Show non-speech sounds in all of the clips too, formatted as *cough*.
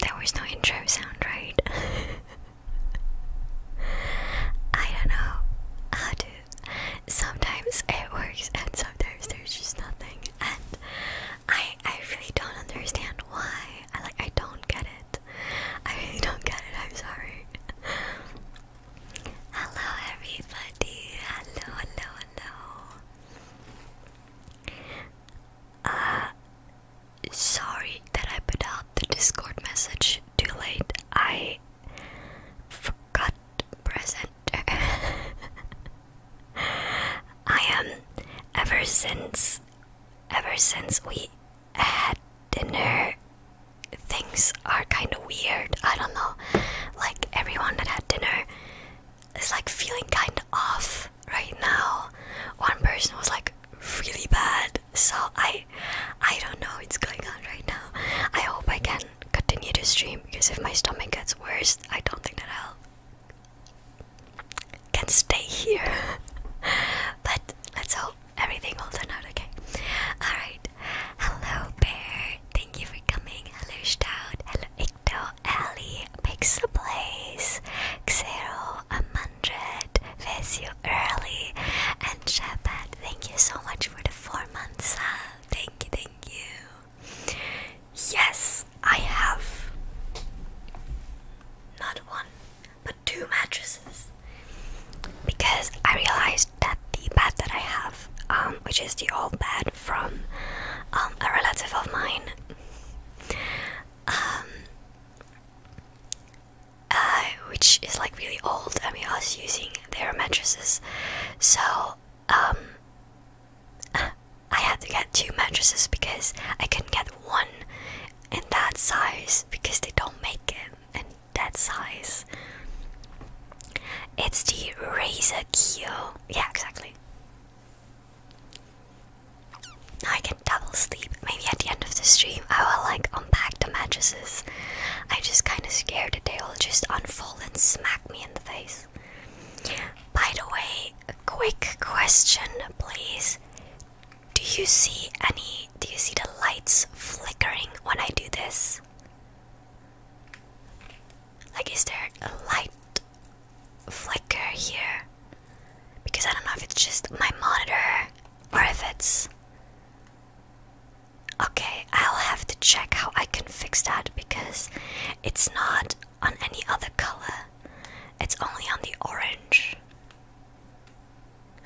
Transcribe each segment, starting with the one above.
There was no intro sound, right? *laughs* I don't know how to. Sometimes it works, and sometimes there's just nothing. And I, I really don't understand why. I like, I don't get it. I really don't get it. I'm sorry. Hello, everybody. Hello, hello, hello. Uh, sorry that I put out the Discord message too late. I forgot present. *laughs* I am. ever since, ever since we had dinner things are kind of weird. I don't know. Like everyone that had dinner is like feeling kind of off right now. One person was like really bad. So I I don't know what's going on right now. I hope I can continue to stream because if my stomach gets worse, I don't think that I'll can stay here. *laughs* but let's hope everything will turn out okay. Alright. Hello bear. Thank you for coming. Hello Stout. Hello Icto. Ali. Pixablaze. Xero. hundred. Vesio Early. And Shepat. Thank you so much for the four months. Thank you. Thank you. Yes, I have not one, but two mattresses. Because I realized that the bed that I have, um, which is the old bed from um, a relative of mine, um, uh, which is like really old. I mean, I was using their mattresses, so I had to get two mattresses because I couldn't get one in that size because they don't make it, that size. It's the razor Kyo. Yeah, exactly. I can double sleep. Maybe at the end of the stream, I will like unpack the mattresses. I'm just kind of scared that they will just unfold and smack me in the face. By the way, a quick question, please. Do you see any? Do you see the lights flickering when I do this? Like, is there a light flicker here? Because I don't know if it's just my monitor or if it's. Okay, I'll have to check how I can fix that because it's not on any other color, it's only on the orange.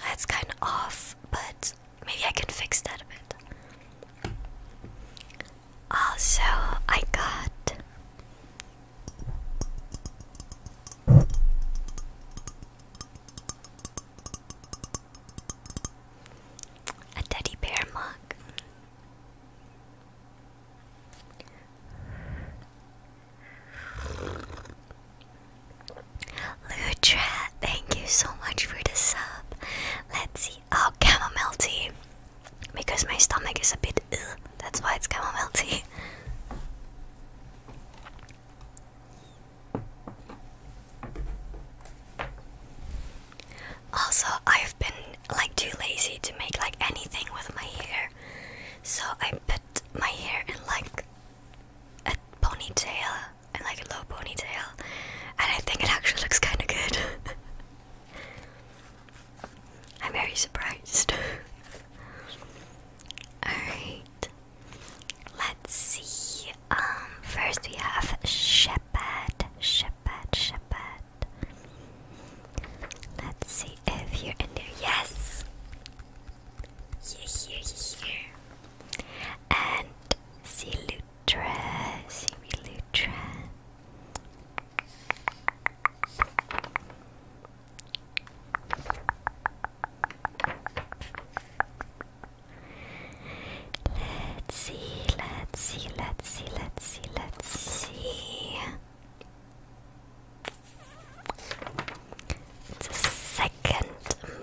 That's kind of off, but maybe I can fix that a bit. Also, I got. A teddy bear mug. Lutra, thank you so much for the sub. Let's see oh, chamomile tea because my stomach is a bit that's why it's chamomile tea. Also, I've been like too lazy to make like anything with my hair, so I put my hair in like a ponytail and like a low ponytail and I think it actually looks kind of good. *laughs* I'm very surprised. *laughs* Alright, let's see. Um, first we have Shepard, Shepard, Shepard. Let's see if you're in there. Yes! Here, here, here. And Silut, dress, you dress. Let's see, let's see, let's see, let's see, let's see. It's a second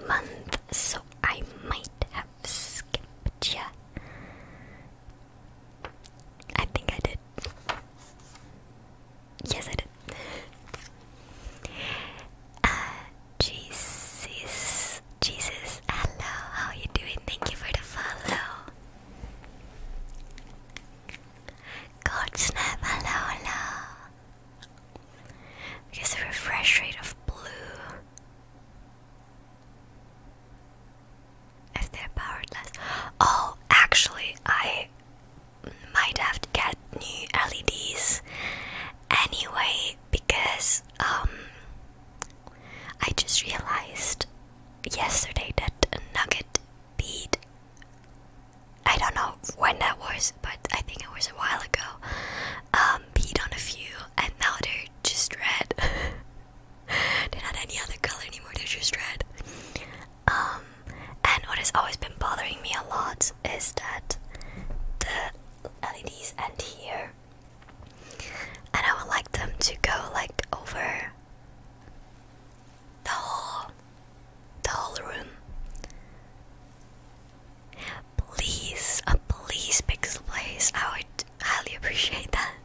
month, so I might have skipped you. I think I did. Yes, I did. Uh, Jesus, Jesus, hello, how are you doing? Thank you for the follow. God snap, hello, hello. Because the refresh rate of blue is there powerless? Oh, actually, I might have to get new LEDs anyway because um I just realized yesterday that Nugget beat. I don't know when that was, but I think it was a while ago. Um, beat on a few, and now they're just red. *laughs* they not any other color anymore, they're just red. Um, and what has always been bothering me a lot is that the LEDs end here. And I would like them to go like over the whole the whole room. Please, a please, Pixel Place. I would highly appreciate that.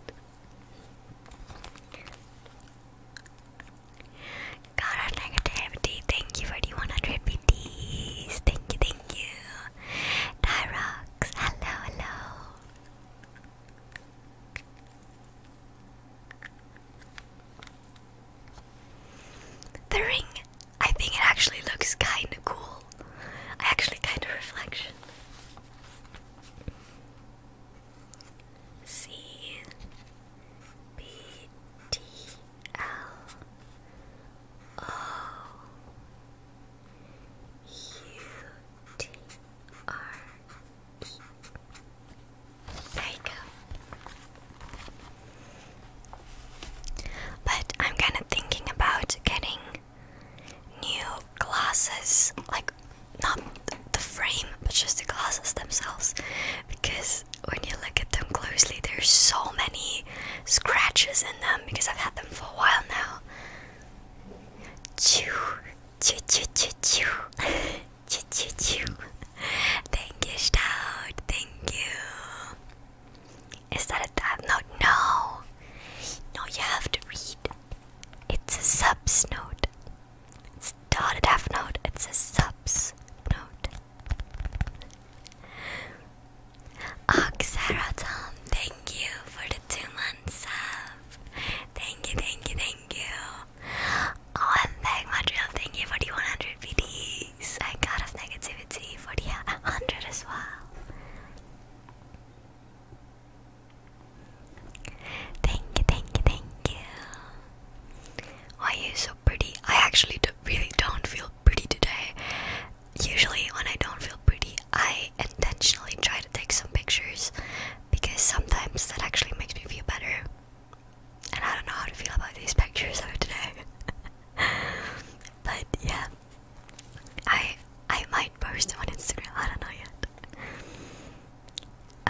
Cara negativity, thank you for the 100 BTs. Thank you, thank you. Tyrox, hello, hello. The ring. I think it actually looks kind of cool. I actually kind of reflection. C B T L O U T R E. There you go. But I'm kind of thinking about getting new glasses, like not the frame, but just the glasses themselves. Because when you look at them closely, there's so many scratches in them because I've had them for a while now. Chew, chew, chew, chew, chew, *laughs* chew, chew, chew. Thank you, Stout. Thank you. Is that a tab? No, no. No, you have to read. It's a sub note. It's not a half note, it's a subs note. Oxaratom, thank you for the two months of. Thank you, thank you, thank you. Oh, and thank thank you for the 100 VDs. I got off negativity for the 100 as well. Thank you, thank you, thank you. Why are you so pretty? I actually really don't feel pretty today. Usually, when I don't feel pretty, I intentionally try to take some pictures because sometimes that actually makes me feel better. And I don't know how to feel about these pictures of today. *laughs* but yeah, I I might post on Instagram. I don't know yet.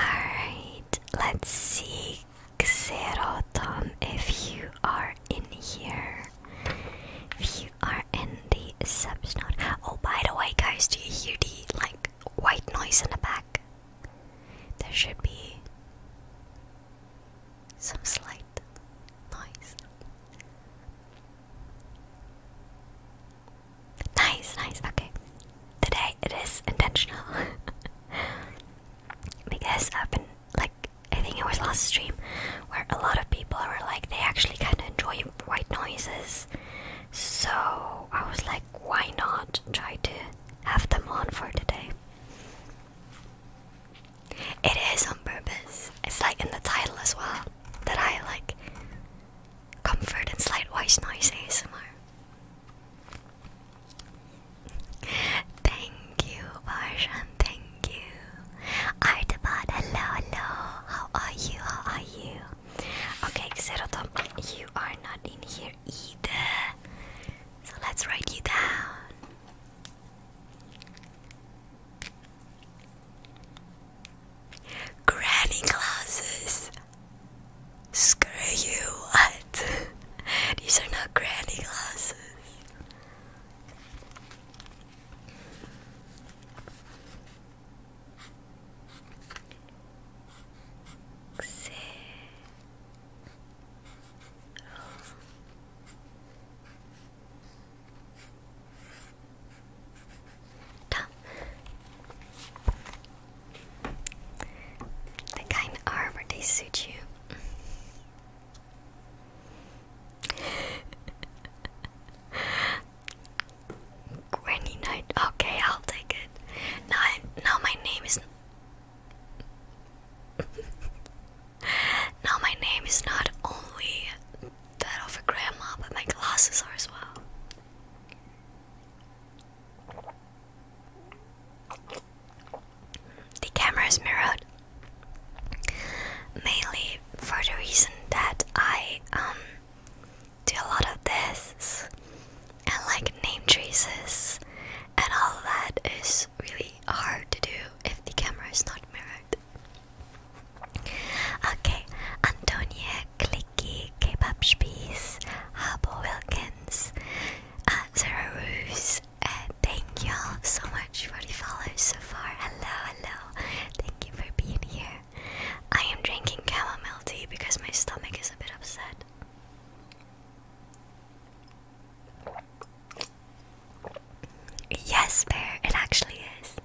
Alright, let's see Xerotom if you are in here. If you are in the subs Oh by the way guys, do you hear the like white noise in the back? There should be some slight noise. Nice, nice, okay. Today it is intentional. *laughs* because I've been, like, I think it was last stream where a lot of people were like, they actually kind of enjoy white noises. So I was like, why not try to have them on for today? It is on purpose. It's like in the title as well that I like comfort and slight voice noise ASMR. Thank you, Barshan. Thank you. Artabot, hello, hello. How are you? How are you? Okay, Xerotom, you are not in here either. So let's write you down. Granny glasses. Screw you, what? *laughs* These are not granny glasses. Xe the kind are where they suit you. *laughs* Granny Knight. Okay, I'll take it. Now, now my name is. *laughs* now my name is not only that of a grandma, but my glasses are as well. The camera is mirrored mainly for the reason that I um, do a lot of this and like name traces and all that is really hard to do if the camera is not mirrored. Okay, Antonia Clicky, Kebab Spies, Harbour Wilkins, uh, Sarah Roos, uh, thank y'all so much for the follows so far. Hello, hello, thank you for being here. I am drinking chamomile tea because my stomach is a bit upset. Yes, Bear, it actually is.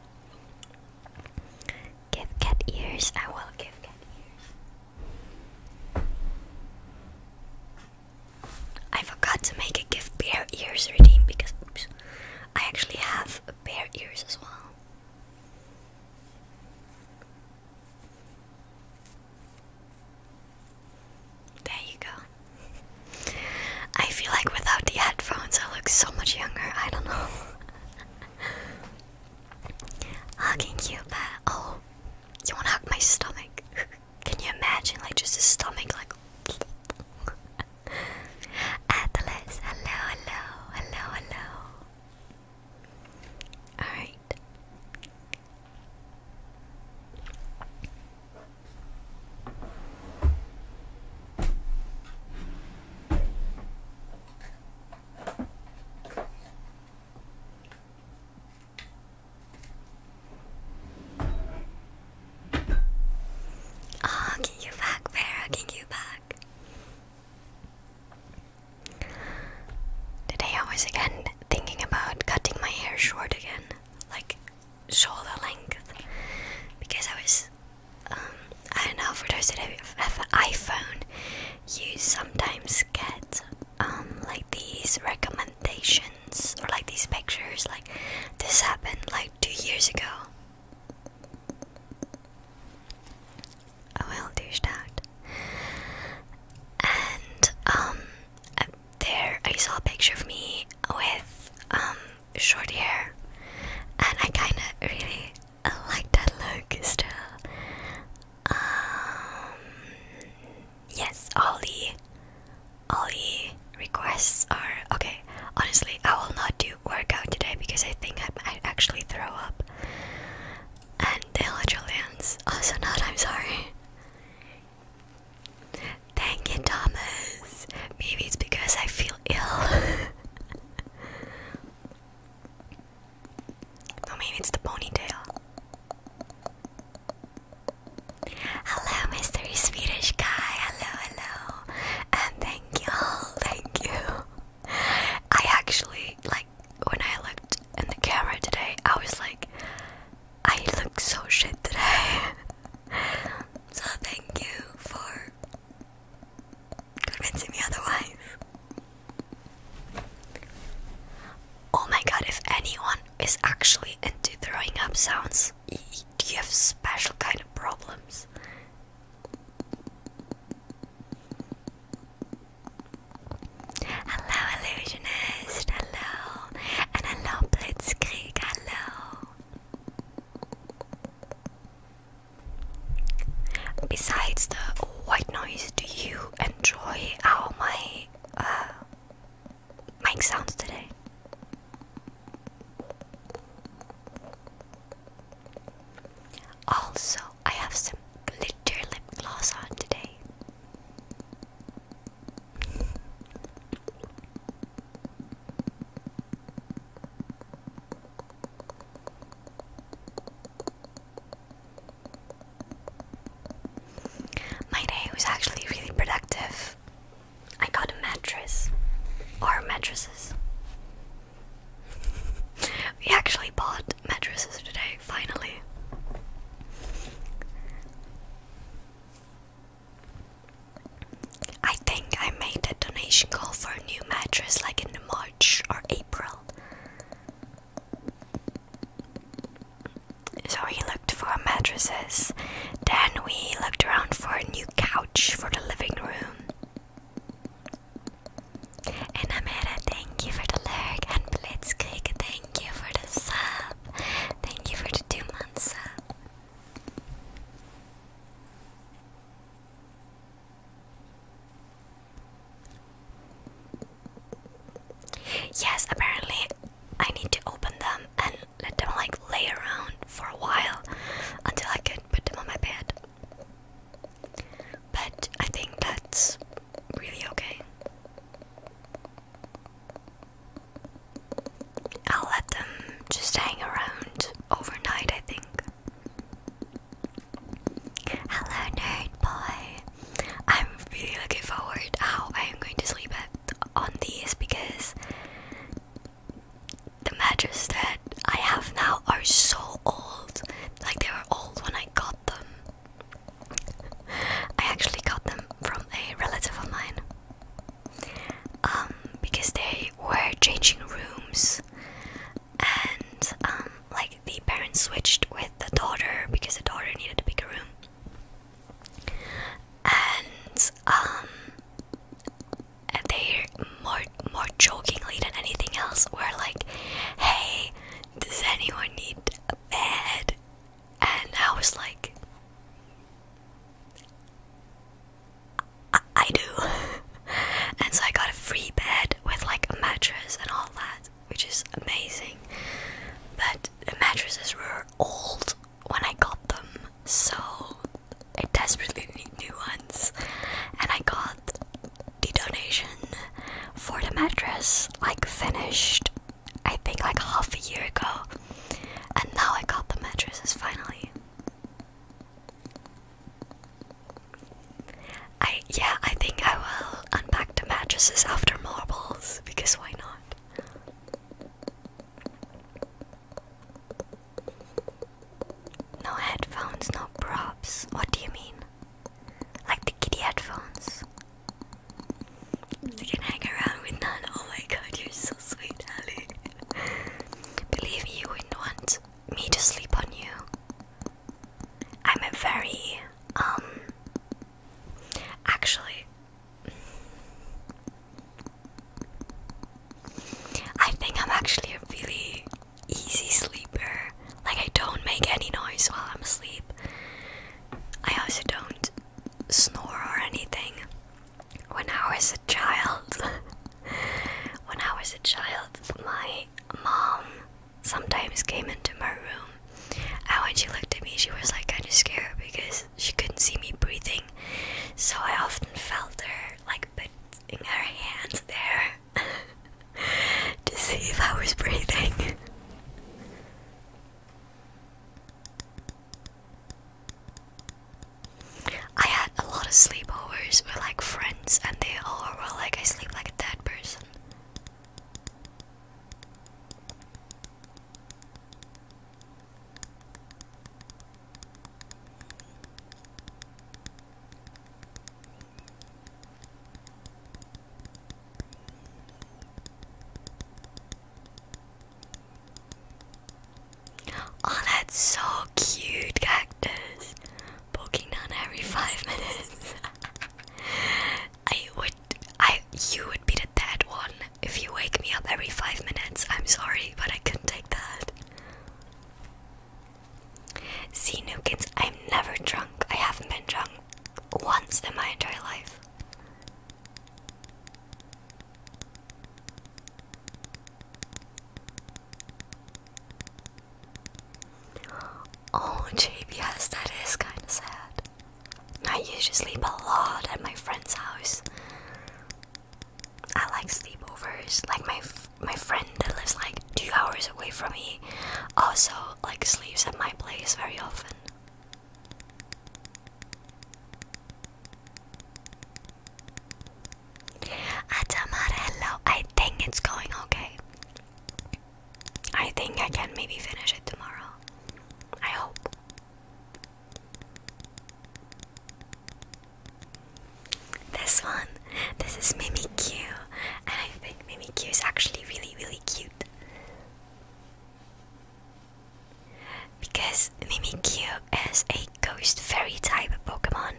Give cat ears. I will give cat ears. I forgot to make a give bear ears redeem because I actually have bear ears as well. There you go. I feel like without the headphones I look so much younger. I don't know. *laughs* Hugging you, but oh, you wanna hug my stomach? *laughs* Can you imagine, like, just a stomach, like. *laughs* Atlas, hello, hello, hello, hello. Alright. Oh, get you back, Pharaoh, get you back. Today I was again thinking about cutting my hair short again, like shoulder length, because I was um, I don't know, for those that have, an iPhone, you sometimes get um, like these recommendations or like these pictures. Like, this happened like two years ago. I will do that. And um, uh, there I saw a picture of me with short hair, and I kind of really I like that look still. Uh, um, yes, all the all the requests are okay. Honestly, I will not do workout today because I think I might actually throw up. And the Australians also not. I'm sorry. Thank you, Thomas. Maybe it's because I feel ill. *laughs* No, maybe it's the ponytail. Hello, mystery Swedish guy. Hello, hello, and thank you, *laughs* thank you. I actually like when I looked in the camera today. I was like, I look so shit today. *laughs* so thank you for convincing me otherwise. Oh my god, if anyone is actually into throwing up sounds, do you have special kind of problems? Hello, illusionist. Hello, and hello, Blitzkrieg. Hello. Besides the white noise, do you enjoy how my uh, sounds today? Also, I have some glitter lip gloss on today. My day was actually really productive. I got a mattress or mattresses. we actually bought mattresses today, finally. I think I made a donation call for a new mattress like in March or April. So we looked for mattresses. Then we looked around for a new couch for the living room. And Amira, thank you for the lurk. And Blitzkrieg, thank you for the sub. Thank you for the two months sub. Yes, apparently I need to open them and let them like lay around for a while until I can put them on my bed. But I think that's really okay. I'll let them just hang around overnight, I think. Hello, nerd boy. I'm really looking forward how I am going to sleep on these because the mattress that I have now are so old. Like they were old when I got them. I actually got them from a relative of mine. Um, because they were changing rooms and um, like the parents switched with the daughter because the daughter needed a bigger room, and um, they more more jokingly than anything else were like, "Hey, does anyone need a bed?" And I was like. I, I do, *laughs* and so I got a free bed with like a mattress and all that which is amazing. But the mattresses were old when I got them, so I desperately need new ones. And I got the donation for the mattress, like finished, I think like half a year ago. And now I got the mattresses finally. I yeah, I think I will unpack the mattresses after marbles because why not? No headphones, no props. What do you mean? Like the kitty headphones. You can hang around with none. Oh my god, you're so sweet, Ali. *laughs* Believe you wouldn't want me to sleep on you. I'm a very um, actually, I think I'm actually a really easy sleeper. Like, I don't make any noise while I'm asleep. I also don't snore or anything. When I was a child, *laughs* when I was a child, my mom sometimes came into my room and when she looked at me she was like kind of scared because she couldn't see me breathing so i often felt her like putting her hands there *laughs* to see if i was breathing i had a lot of sleepovers with like friends and they all were like i sleep like a dead person Oh, that's so cute, cactus. Poking down every five minutes. *laughs* I would, I, you would be the dead one if you wake me up every five minutes. I'm sorry, but I couldn't take that. See, Nukins, I'm never drunk. I haven't been drunk once in my entire life. Oh, JBS, that is kind of sad. I usually sleep a lot at my friend's house. I like sleepovers. Like my my friend that lives like two hours away from me, also like sleeps at my place very often. Atamarello, I think it's going okay. I think I can maybe finish it tomorrow. I hope. This one, this is Mimikyu, and I think Mimikyu is actually really, really cute. Because Mimikyu is a ghost fairy type Pokemon,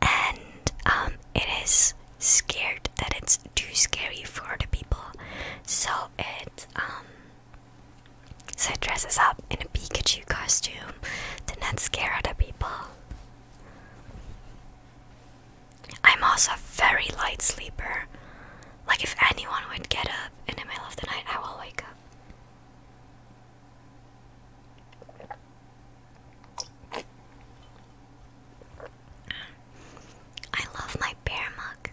and um, it is scared that it's too scary for other people, so it um so it dresses up in a Pikachu costume to not scare other people. I'm also a very light sleeper. Like if anyone would get up in the middle of the night, I will wake up. I love my bear mug.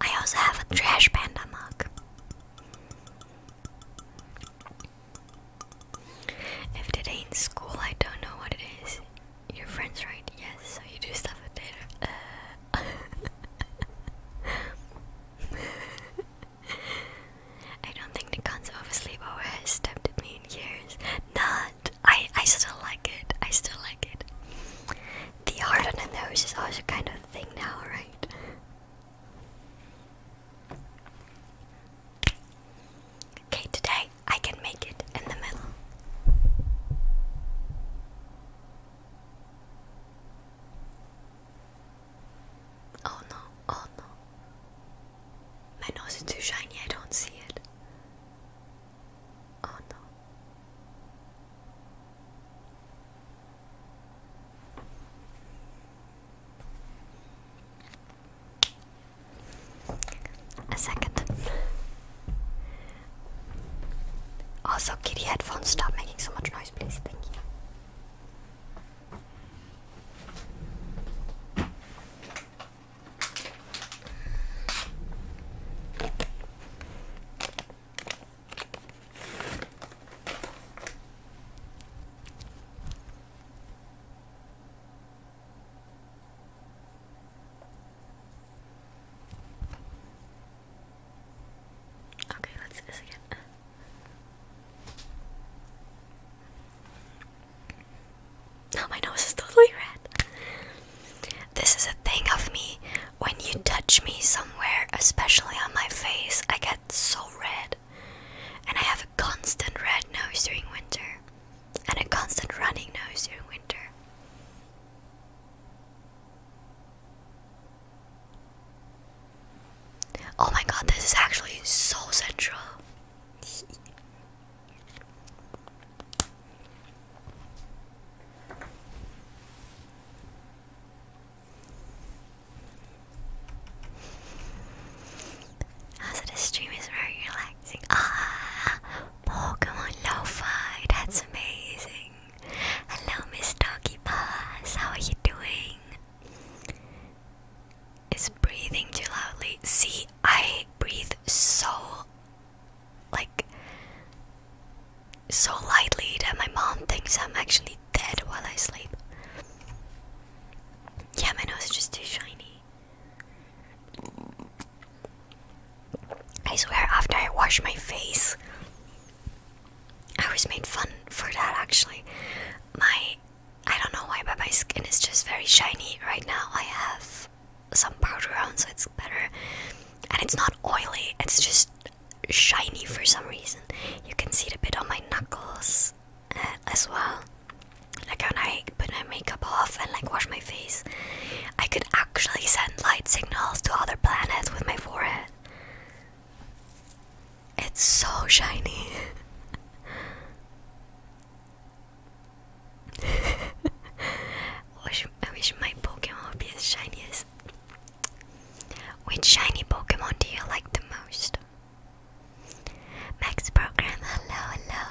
I also have a trash panda mug. If today ain't school, I don't know what it is. Your friends, right? Yes, so you do stuff with it. *laughs* I don't think the concept of a sleepover has tempted me in years. No, I I still like it. I still like it. The heart on the nose is also kind of thing now, right? Okay, today I can make it in the middle. Oh no, oh no. My nose is too shiny, I don't see it. Oh no. A second. Also, kitty headphones, stop making so much noise, please. Thank you. Okay, let's do this again. Now oh, my nose is totally red. This is a thing of me. When you touch me somewhere, especially on my face, I get so red. And I have a constant red nose during winter. And a constant running nose during winter. Oh my god, this is actually so central. Also, oh, this stream is very relaxing. Ah, Pokemon Lo-Fi, that's amazing. Hello, Miss Doggy Paws, how are you doing? Is breathing too loudly? See, I breathe so like so lightly that my mom thinks I'm actually dead while I sleep. Yeah, my nose is just too shiny. I swear, after I wash my face, I was made fun for that actually. My, I don't know why, but my skin is just very shiny right now. I have some powder on, so it's better. And it's not oily, it's just shiny for some reason. You can see it a bit on my knuckles uh, as well. Like when I put my makeup off and like wash my face, I could actually send light signals to other planets with my forehead. It's so shiny. *laughs* I wish my Pokemon would be as shiny as. Which shiny Pokemon do you like the most? Max Program, hello, hello.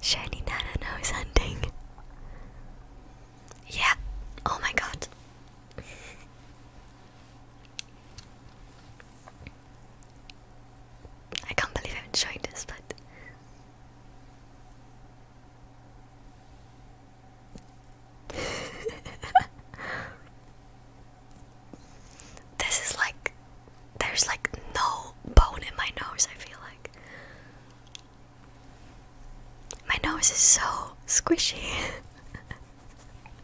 Shiny Nana knows hunting. Yeah, oh my god. I can't believe I'm showing this, but *laughs* this is like there's like no bone in my nose, I feel like. My nose is so squishy. *laughs*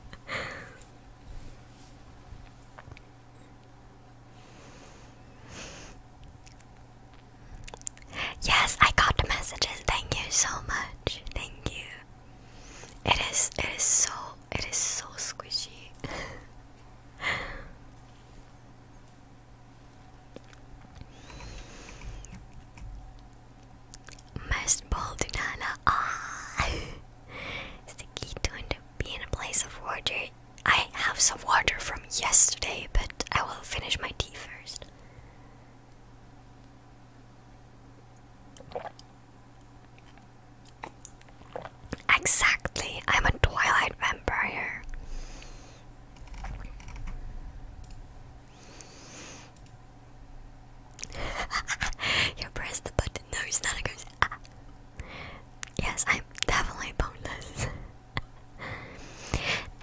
Yes, I got the messages. Thank you so much. Thank you. It is it is so it is so squishy. *laughs* Most bold nana ah. It's the key to being a place of water I have some water from yesterday, but I will finish my tea first. Exactly, I'm a Twilight vampire. *laughs* you press the button. No, he's not Yes, I'm definitely boneless.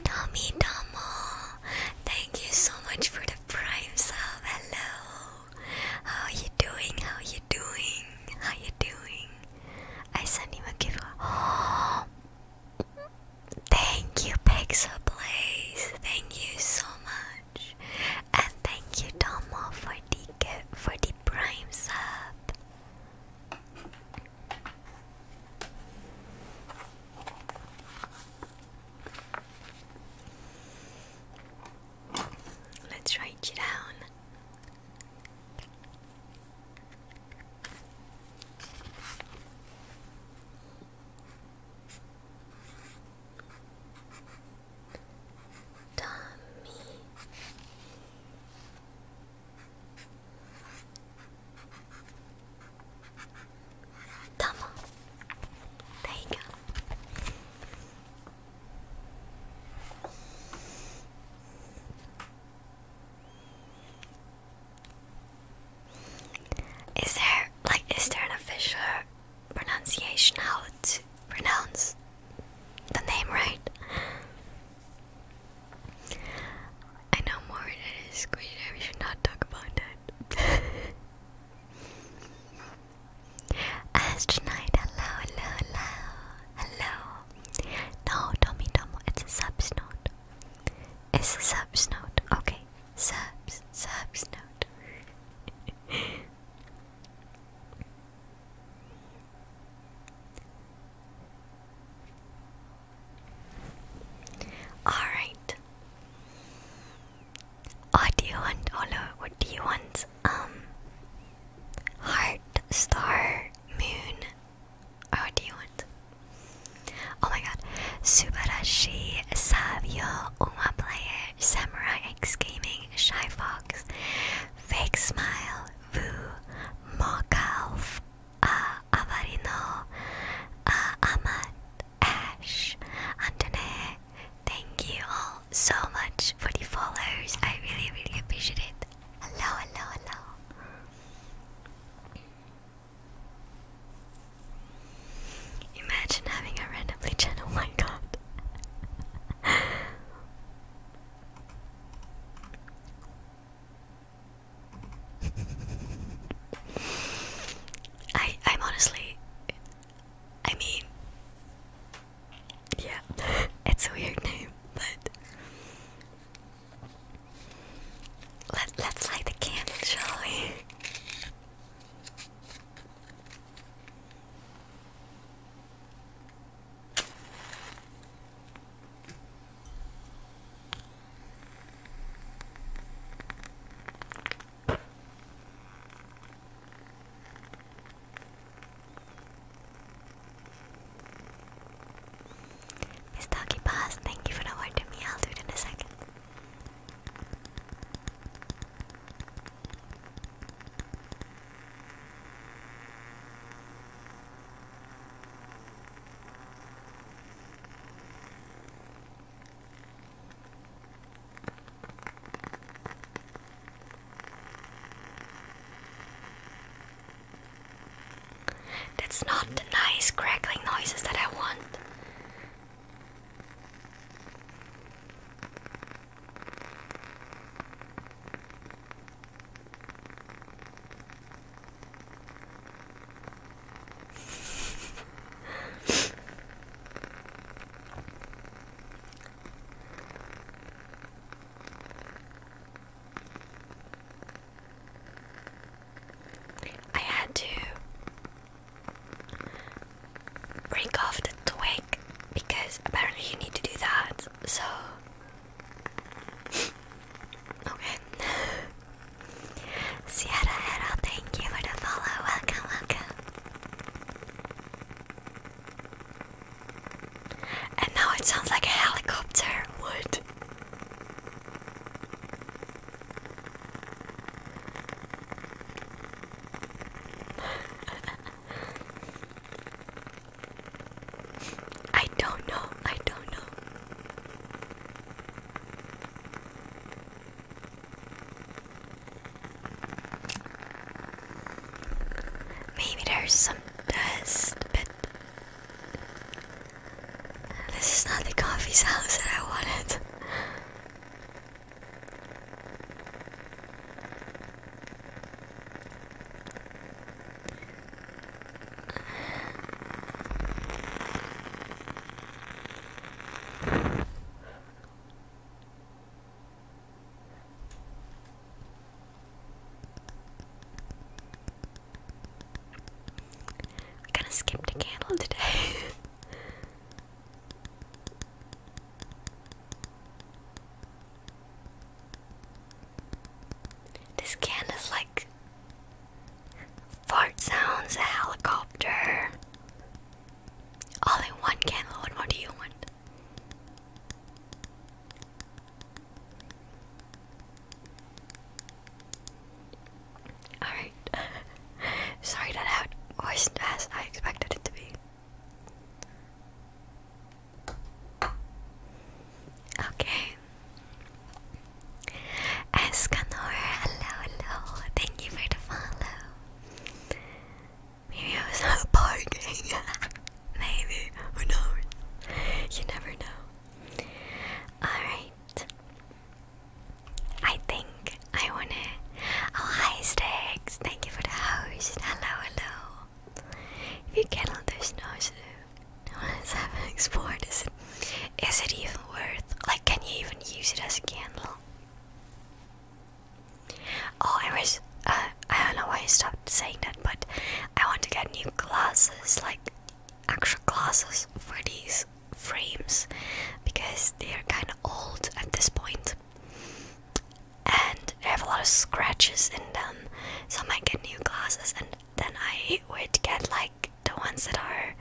Tommy *laughs* Domo, thank you so much for the prime sub. Hello, how are you doing? How are you doing? How are you doing? I sent him a gift. *gasps* thank you, Pixel Blaze. Thank you so much, and thank you, Domo, for the for the prime sub. Let's write you down. Tommy Tama. There there like is there an official pronunciation how to pronounce the name right? I know more that is greater, we should not talk about that. *laughs* Astronaut, hello, hello, hello, hello. No, Tommy Tomo, it's a subs note. It's a subs note, okay. Subs, subs note. *laughs* All right. Oh, do you want Ola? What do you want? Um, heart, star, moon. Or what do you want? Oh my God! Subarashi, Savio, Uma Player, Samurai X Gaming, Shy Fox, Fake Smile, vous Morkalf uh, Avarino uh, A Ash Antone Thank you all so much for the followers. I really really appreciate it. Hello, hello, hello. Imagine having a randomly channel, *laughs* oh my god. I I'm honestly I mean yeah, *laughs* it's a weird name, but let let's light the candle, shall we? Miss Doggy thank you for not word me. I'll do it in a second. That's not the nice crackling noises that I want. I had to break off the twig because apparently you need to do that. So okay. Sierra Hera, thank you for the follow. Welcome, welcome. And now it sounds like a helicopter would. *laughs* I don't know. I don't know. Maybe there's some dust, but this is not the coffee house that I wanted. I kind of skipped a candle today. *laughs* This can is like fart sounds, a helicopter. All in one can. What more do you want? Alright. *laughs* Sorry that out wasn't I expected it to be. Okay, Escanor, hello, hello. Thank you for the follow. Maybe I was not parking. *laughs* Maybe. Who knows? You never know. Alright. I think I wanna. Oh, hi, Sticks. Thank you for the host. Hello, hello. you cannot, there's no 7 export is it, is it even worth like can you even use it as a candle oh i uh, i don't know why i stopped saying that but i want to get new glasses like actual glasses for these frames because they are kind of old at this point and they have a lot of scratches in them so i might get new glasses and then I would get like the ones that are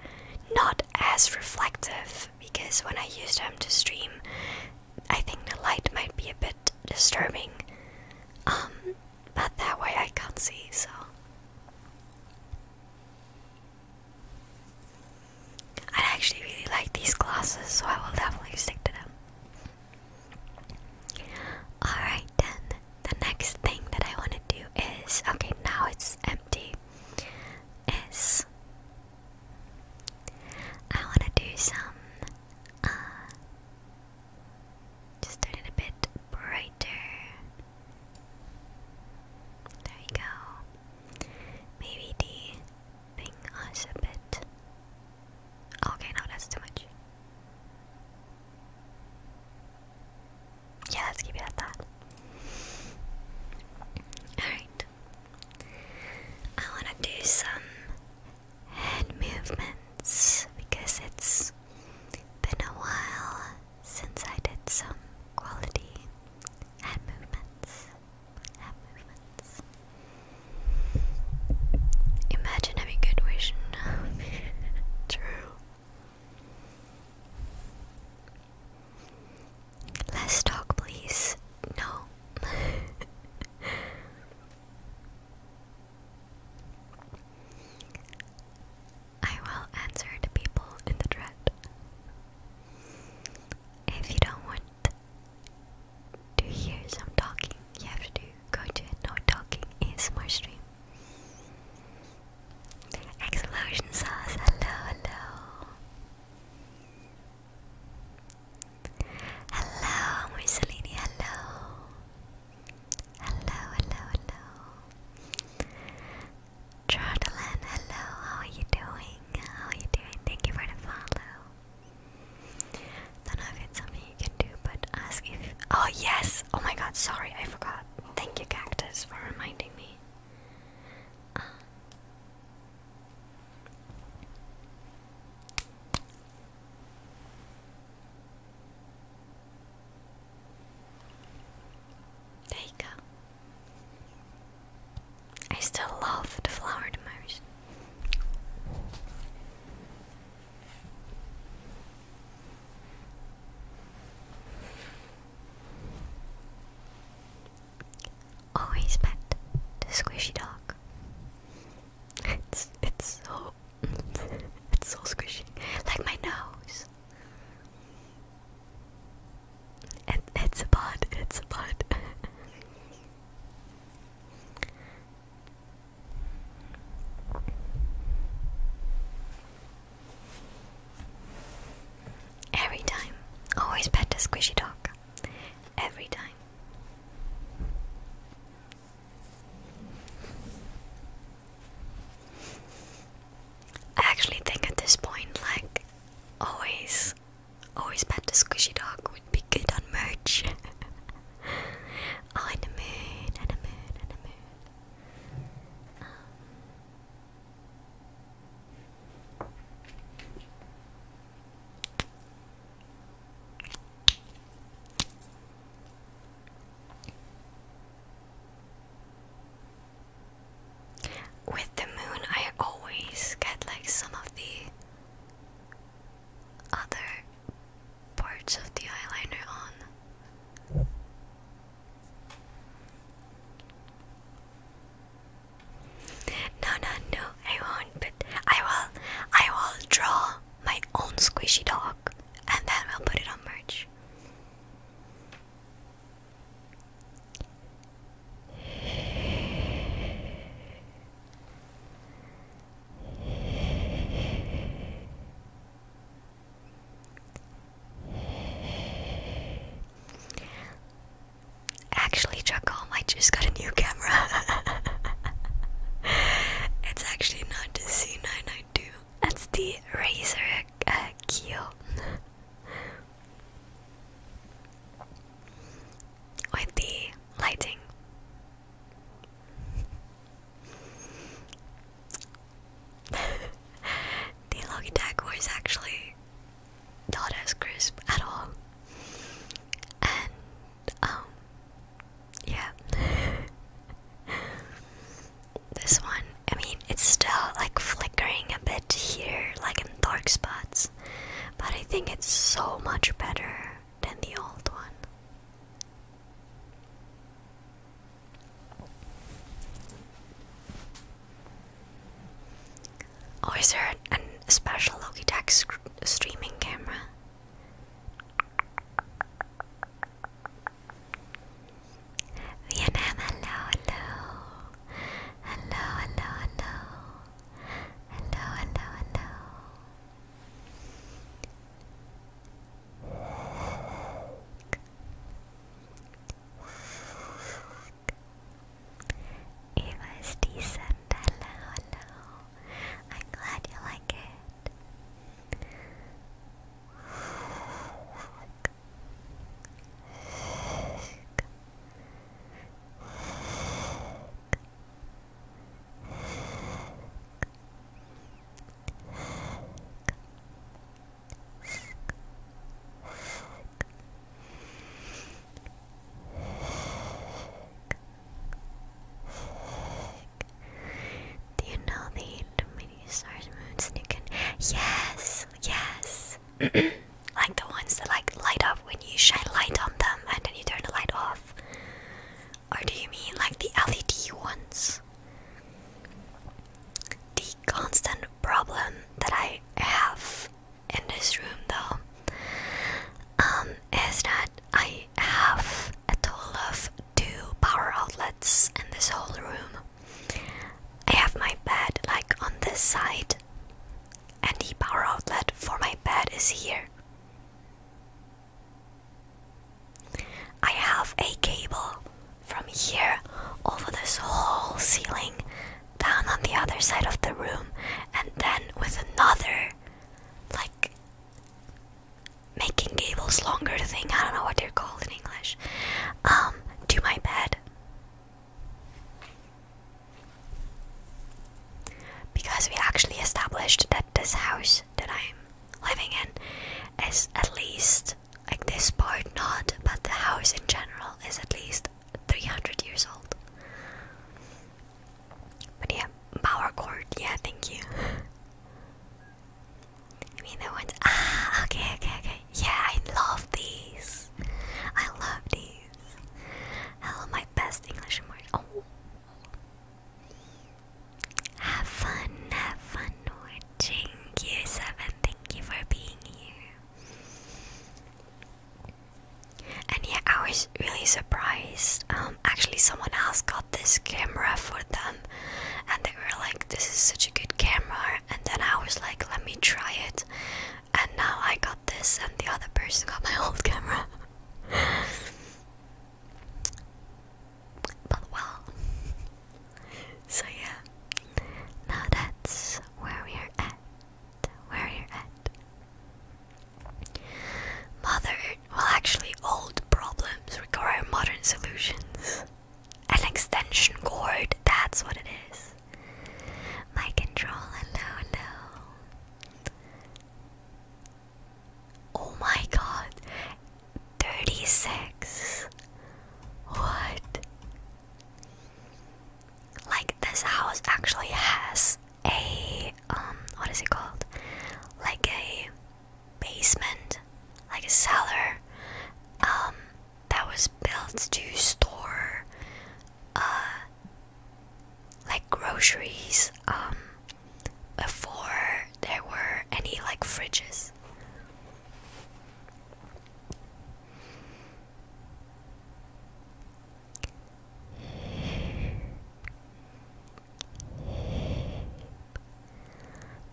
not as reflective because when I use them to stream, I think the light might be a bit disturbing. Um, but that way I can see, so. I actually really like these glasses, so I will definitely stick to them. Alright then, the next thing that I want to do is okay, now it's empty. Is I want to do some, uh, just turn it bit brighter. There we go. Maybe the thing was a bit. Okay, no, that's too much. Yeah, let's keep it at that. Alright. I want to do some head movements because it's been a while since I did some quality head movements. Head movements. Imagine having good vision. *laughs* True. Less talk, please. No. *laughs* I will answer people in the thread. If you don't want to hear some talking, you have to go to no talking ASMR stream. Explosion sauce, hello, hello. Hello, Mussolini, hello. Hello, hello, hello. Jordan, hello, how are you doing? How are you doing? Thank you for the follow. Don't know if it's something you can do, but ask if. Oh, yes! Oh my god, sorry, I forgot. Thank you, Cactus, for reminding me. Uh, there you go. I still love the flowered myrrh. Always pet the squishy dog. It's it's so *laughs* it's so squishy, like my nose. And it's a bud. It's a bud. *laughs* Every time. Always pet the squishy dog. Every time. I actually think at this point, like, always, always pet the squishy dog would be good on merch. *laughs* oh, and the moon, and the moon, and the moon. Um, with the moon, I always get like some of the other parts of the eyeliner on. No, no, no, I won't, but I will, I will draw my own squishy dog and then we'll put it on merch. Actually, Dracom, I just got a new camera. *laughs* it's actually not the C992. That's the Razer uh, Kyo. the lighting the Logitech was actually not as crisp at all. And, um, yeah. *laughs* this one, I mean, it's still like flickering a bit here, like in dark spots. But I think it's so much better than the old one. Or oh, is there an, a special Logitech streaming camera? Eva is decent. Hello, I'm glad you like it. Do you know the mini stars, moons, and you can? Yes, yes. *clears throat* like the ones that like light up when you shine light on them, and then you turn the light off. Or do you mean like the LED ones? The constant problem that I have in this room, though, um, is that I have a total of two power outlets in this whole room. I have my bed like on this side, and the power outlet for my bed is here. I have a cable from here over this whole ceiling down on the other side of the room and then with another like making gables longer thing i don't know what they're called in english um to my bed because we actually established that this house that i'm living in is at least like this part not, but the house in general is at least 300 years old. But yeah, Bower Court, yeah, thank you. I mean, the ones. Ah, okay, okay, okay. Yeah, I love these. I love these. Hello, my best English word. Oh. Have fun, have fun, Nora watching. Year 7, thank you for being here. And yeah, I was really surprised. Um, actually, someone else got this camera for them, and they were like, This is such a good camera. And then I was like, Let me try it. And now I got this, and the other person got my *laughs* old camera. but well, so yeah, now that's where we're at. Where you're at. Modern, well, actually, old problems require modern solutions. An extension cord, that's what it is. My control, hello, hello. Oh my god, 36. What? Like this house actually has a um what is it called? Like a basement, like a cellar um that was built to store uh like groceries um before there were any like fridges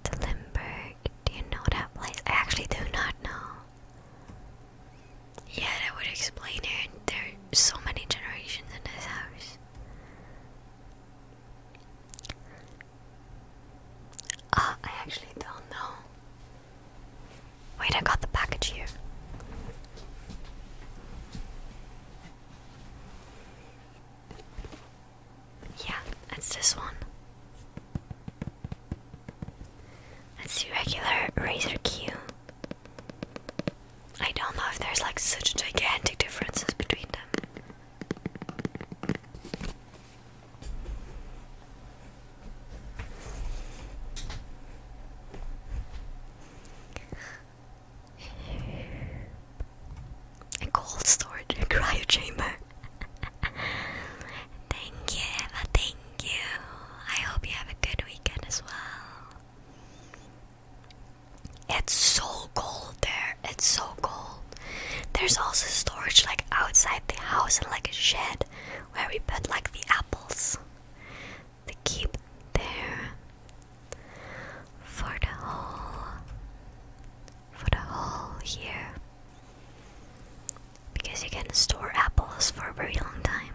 to Limburg. Do you know that place? I actually do not know. Yeah, that would explain it. There are so many generations in this house. Uh, I actually don't know. Wait, I got the package here. Yeah, it's this one. It's the regular Razor Q. I don't know if there's like such gigantic differences between them cold storage, cryo chamber. thank you, thank you. I hope you have a good weekend as well. It's so cold there. It's so cold. There's also storage like outside the house and like a shed where we put like the apples they keep there for the whole for the whole year because you can store apples for a very long time.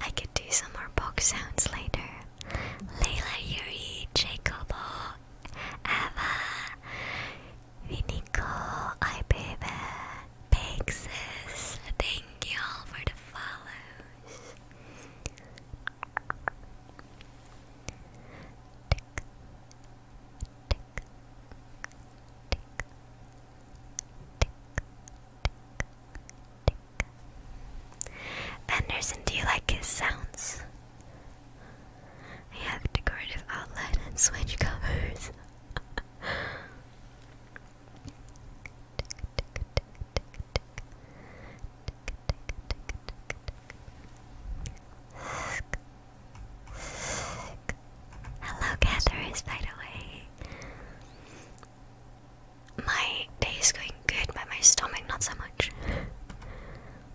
I could do some more box sounds later. Layla Yuri, Jacobo, Emma, Vinico, I baby, Pixis, thank you all for the follows. Tick, tick, do you like his sounds? I have decorative outline and switch covers. Hello, Catherers, by the way. My day is going good, but my stomach not so much.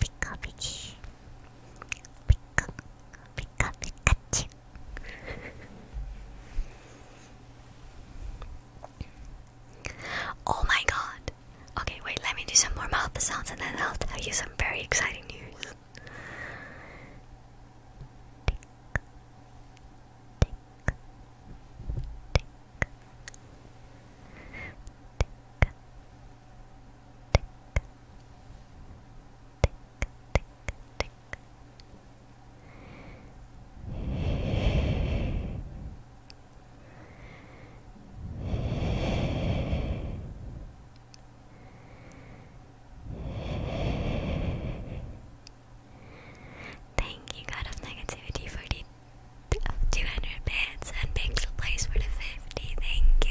Pikachu. Pika, Pika, Pikachu. oh my god. Okay, wait, let me do some more mouth sounds and then I'll tell you some very exciting news. Thank you, God of Negativity, for the 200 bits and makes a place for the 50. Thank you.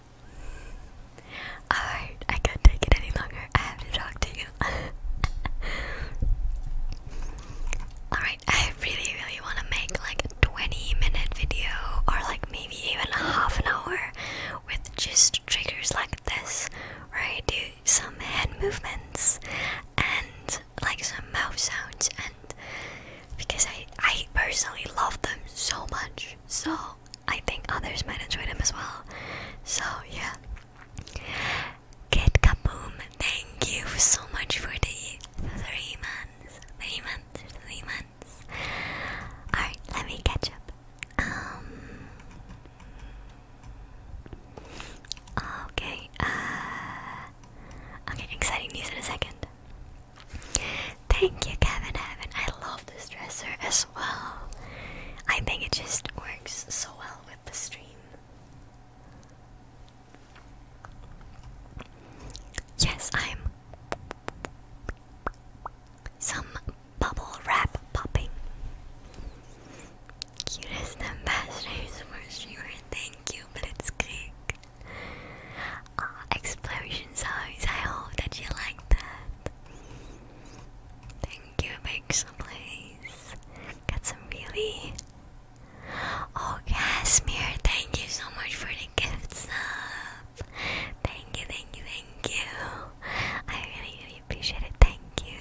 Alright, I can't take it any longer. I have to talk to you. *laughs* Alright, I really, really want to make like a 20 minute video or like maybe even a half an hour with just triggers like this where I do some head movements and like some mouth sounds and because I, I personally love them so much. So I think others might enjoy them as well. So yeah. Kid Kaboom, thank you so much for the three months. Three months, three months. Alright, let me catch up. Um, okay, uh, Okay, exciting news in a second. Thank you, Kevin Evan. I love this dresser as well. I think it just works so well with the stream. Yes, I'm some bubble wrap popping. Cutest ambassadors for sure. thank you, but it's Blitzkrieg uh, explosion sounds. I hope that you like that. Thank you, Pixel Please. Got some really. Oh, Casimir, thank you so much for the gifts, sub. Thank you, thank you, thank you. I really, really appreciate it. Thank you.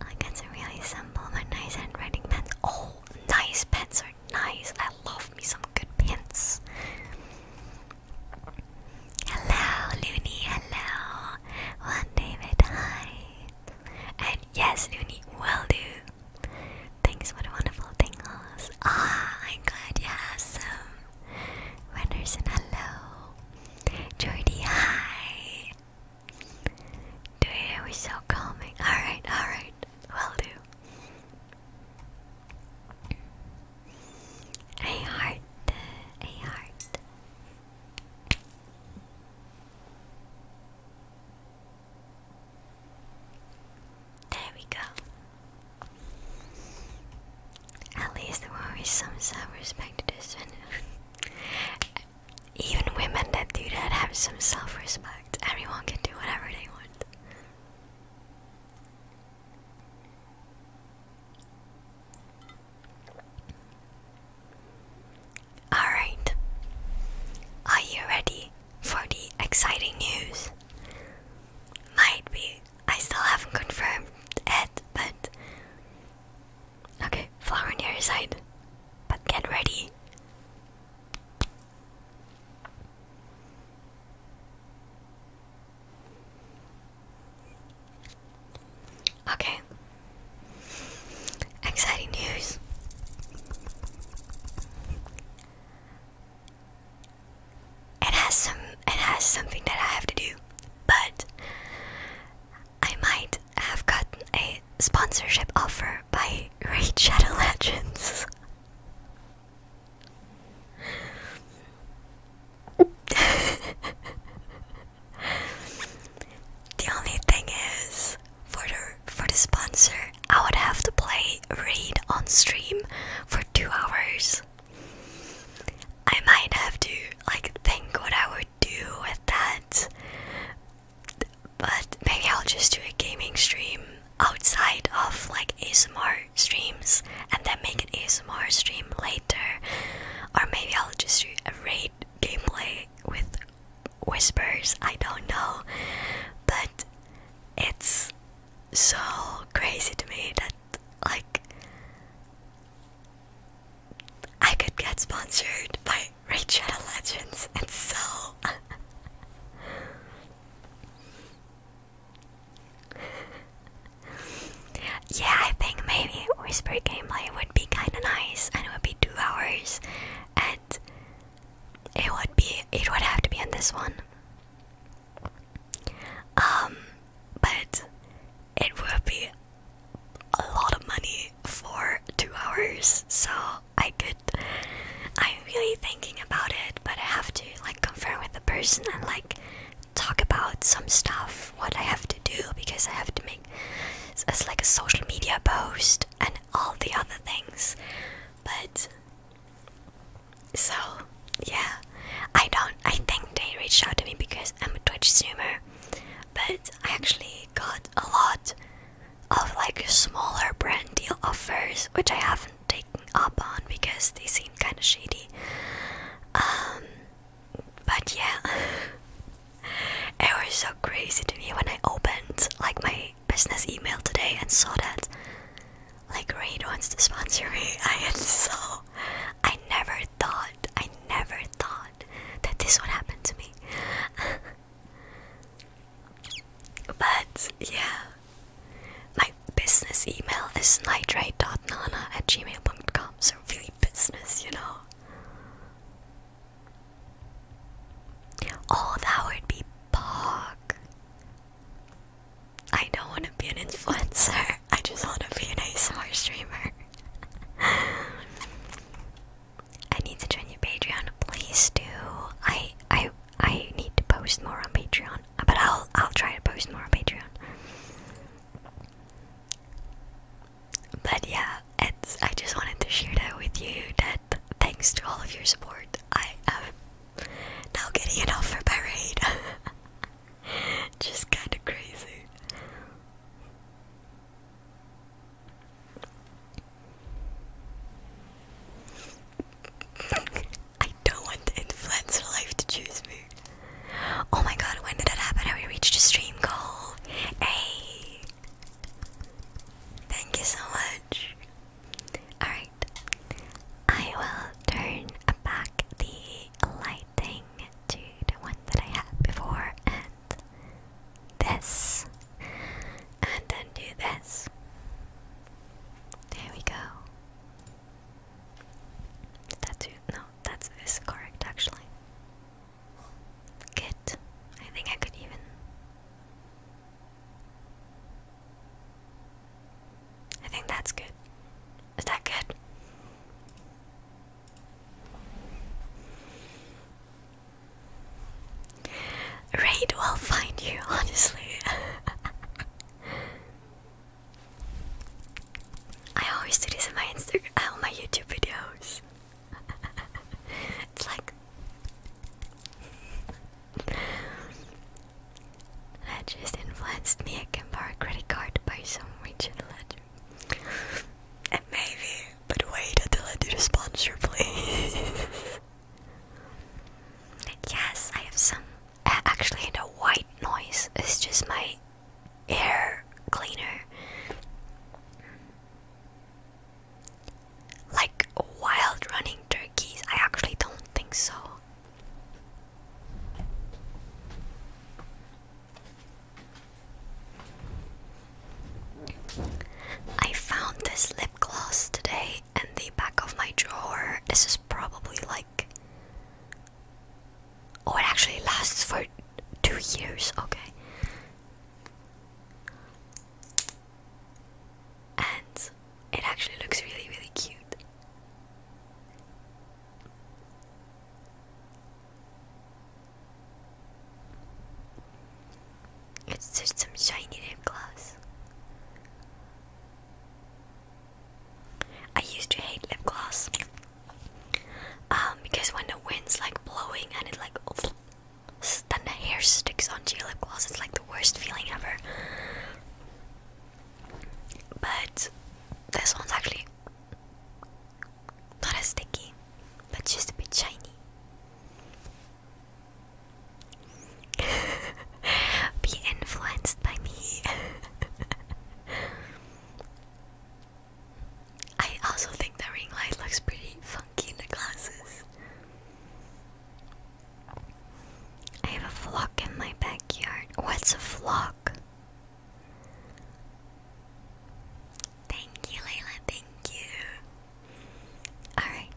I got some really simple but nice handwriting pens. Oh, nice pens nice. I love me some good pins. Hello, Looney. Hello. One David. Hi. And yes, Looney will do. Thanks for the wonderful tingles. Ah, I'm glad you have some. Renderson, hello. Jordy, hi. Dude, we're so calming. Alright, alright. Will do. A heart, a heart. There we go. At least there will some self-respect to this one. *laughs* Even women that do that have some self-respect. Everyone can do whatever they want. Alright, are you ready for the exciting news? Might be, I still haven't confirmed it, but. Okay, flower on the side, but get ready. Okay. Exciting news. It has some it has something that I have to do, but I might have gotten a sponsorship offer by *laughs* Raid Shadow Legends. *laughs* the only thing is for the for the sponsor I would have to play Raid on stream for two hours. I might have to like think what I would do with that. But maybe I'll just do a gaming stream outside of like ASMR streams and then make an ASMR stream later. Or maybe I'll just do a raid gameplay with whispers, I don't know. But it's so crazy to me that like I could get sponsored by Raid Shadow Legends and so *laughs* *laughs* yeah, I think maybe whisper gameplay would be kind of nice, and it would be two hours, and it would be it would have to be in this one. Um, but it would be a lot of money for two hours, so I could. I'm really thinking about it, but I have to like confirm with the person and like talk about some stuff what I have to do because I have to make it's like a social media post and all the other things but so yeah I don't I think they reached out to me because I'm a Twitch streamer but I actually got a lot of like smaller brand deal offers which I haven't taken up on because they seem kind of shady. Um, but yeah, *laughs* it was so crazy to me when I opened like my business email today and saw that like Raid wants to sponsor me. *laughs* I had so I never thought, I never thought that this would happen to me. *laughs* but yeah, my business email is nitrate.nana at gmail.com, so really business, you know. Oh, that would be pog. I don't want to be an influencer, I just want to be an ASMR streamer. I need to join your Patreon, please do. I I I need to post more on Patreon but I'll I'll try to post more on Patreon. But yeah, it's I just wanted to share that with you. That thanks to all of your support, I am now getting an offer by raid. *laughs* just kind of crazy. *laughs* I don't want the influencer life to choose me. Oh my god, when did that happen? Have we reached a stream goal? Hey! Thank you so much. Alright. I will turn back the lighting to the one that I had before this. And then this. There we go. Statue? No, that's correct actually. Kit. I think I could even. I think that's good. Is that good? Raid will find you, *laughs* honestly. *laughs* I always do this in my Instagram, on *laughs* my YouTube videos. *laughs* it's like that just influenced me. I can borrow a credit card by some Richard Ledger, maybe. But wait until I do the sponsor, please. *laughs* yes, I have some actually the white noise is just my air cleaner like wild running turkeys i actually don't think so i found this lip gloss today in the back of my drawer this is probably like Oh, it actually lasts for two years. Okay. And it actually looks really, really cute. It's just some shiny lip gloss. I used to hate lip gloss um, because when the wind's like blowing and it like then the hair sticks onto your lip gloss, it's like the worst feeling ever. But this one's actually not as sticky, but just a bit shiny. *laughs* Be influenced by me. *laughs* I also think the ring light looks pretty funky in the glasses. I have a flock in my backyard. What's a flock? Thank you, Layla. Thank you. Alright,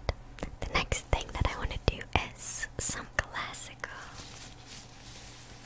the next thing that I want to do is some classical.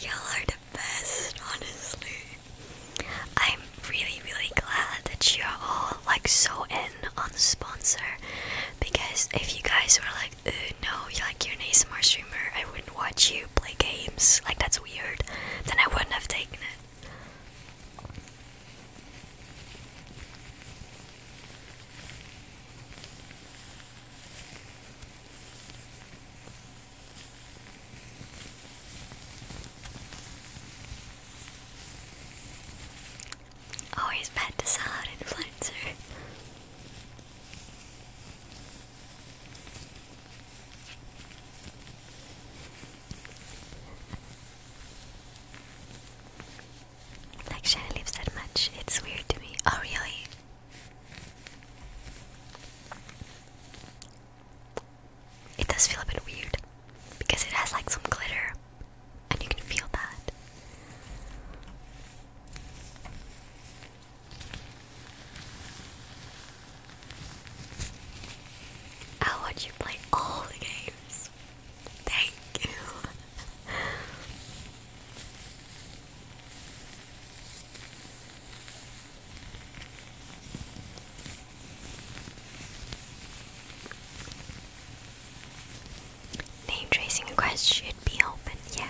Y'all are the best, honestly. I'm really, really glad that you're all like so in on the sponsor because if you guys were like, no, you're like you're an ASMR streamer, I wouldn't watch you play games, like that's weird, then I wouldn't have taken it. Always oh, bad to sell *laughs* out influencer. Like Shannon lives that much. It's weird to me. Oh really? It does feel a bit weird because it has like some glitter and you can feel that. I want you play all the games. Thank you. *laughs* Name tracing request should be open, yeah.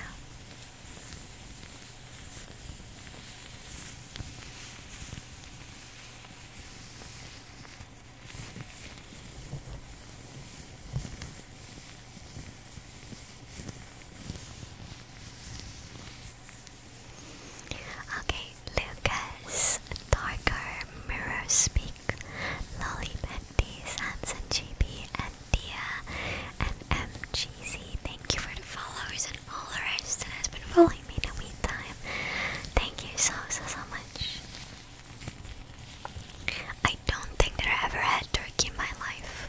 Okay, Lucas, Darker, Mirror Speak, Lolly Bendy, Sansan GB, and Dia, and MGZ. Thank you for the followers and all the rest that has been following me in the meantime. Thank you so, so, so much. I don't think that I ever had turkey in my life.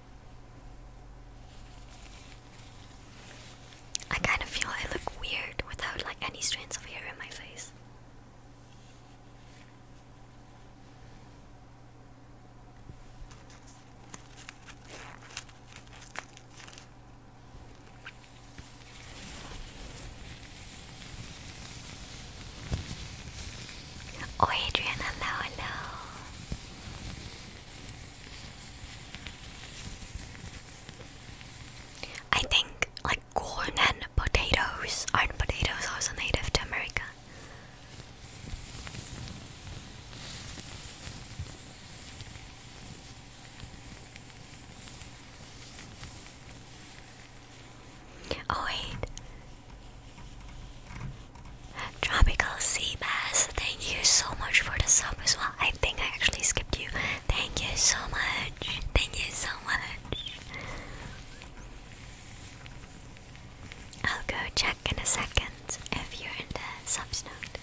I kind of feel I look weird without like any strands of hair in my face. Oh Adrian, hello, hello. I think like corn and potatoes aren't potatoes also native to America. Oh wait. Tropical sea bass, thank you so much for the sub as well. I think I actually skipped you. Thank you so much. Thank you so much. I'll go check in a second if you're in the sub note.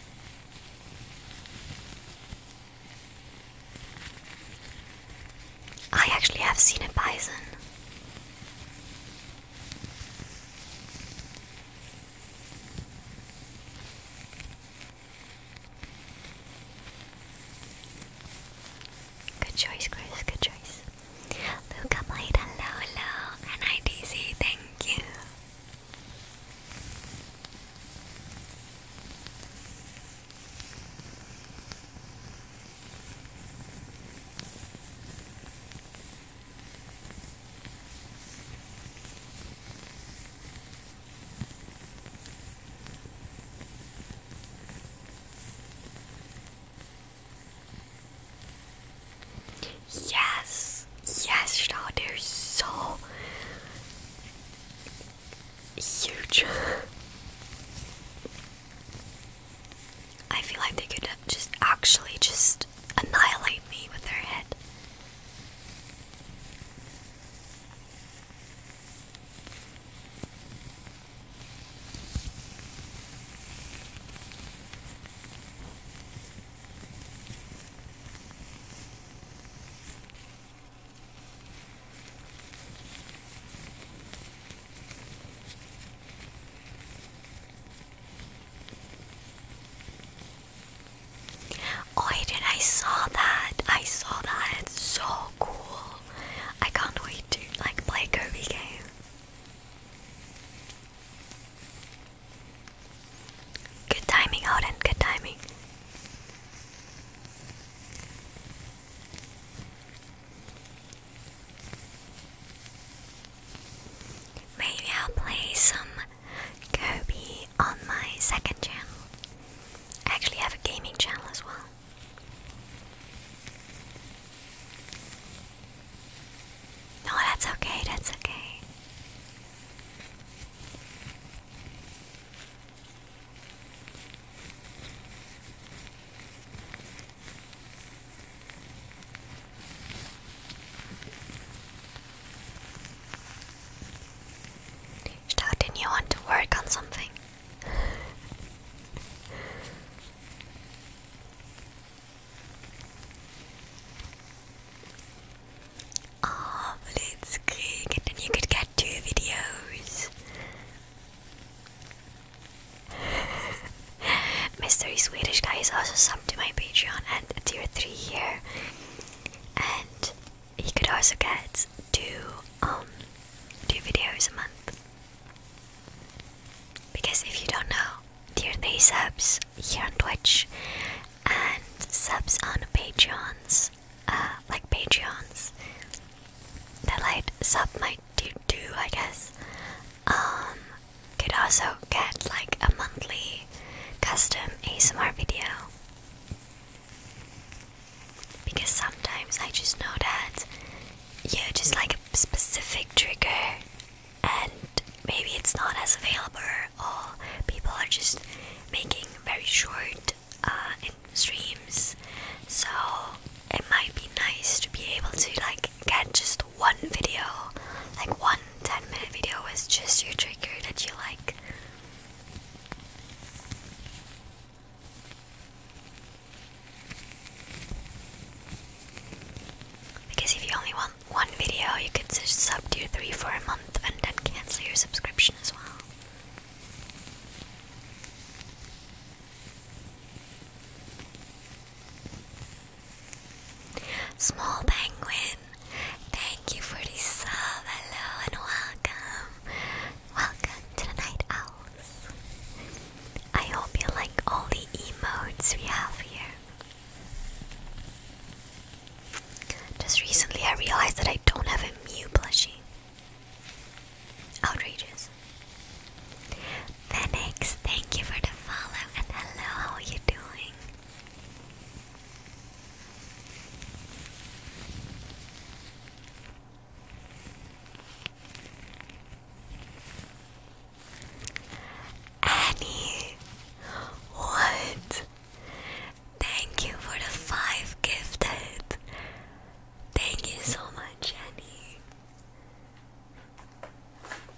I actually have seen a bison. Good choice, Chris. Good choice. Luca played hello, hello, and IDC, thank you. Yes, yes, they're so huge. *laughs* I feel like they could just actually just annihilate me with her head. Oh, I I saw that. I saw that. It's so cool. I can't wait to like play a Kirby game. Good timing, Odin. Good timing. Maybe I'll play some Kobe on my second channel. I actually have a gaming channel as well. No, that's okay, that's okay. Stop, did you want to work on something? oh, Blitzkrieg, and you could get two videos. *laughs* Mystery Swedish guy is also to my Patreon at tier 3 here. And he could also get two um two videos a month. Because if you don't know, tier 3 subs here on Twitch and subs on Patreons, uh, like Patreons, that like sub might do, do I guess. Um, could also get like a monthly custom ASMR video. Because sometimes I just know that you just like a specific trigger and maybe it's not as available or people are just making very short uh, streams so it might be nice to be able to like get just one video like one 10 minute video is just your trigger that you like. Because if you only want one video, you could just sub to three for a month and then cancel your subscription as well. Small Penguin, thank you for the sub. and welcome. Welcome to the Night Owls. I hope you like all the emotes we have here. Just recently I realized that I don't have a Mew plushie. Outrageous. Phoenix, thank you for the follow and hello, how are you doing? Annie, what? Thank you for the five gifted. Thank you so much, Annie.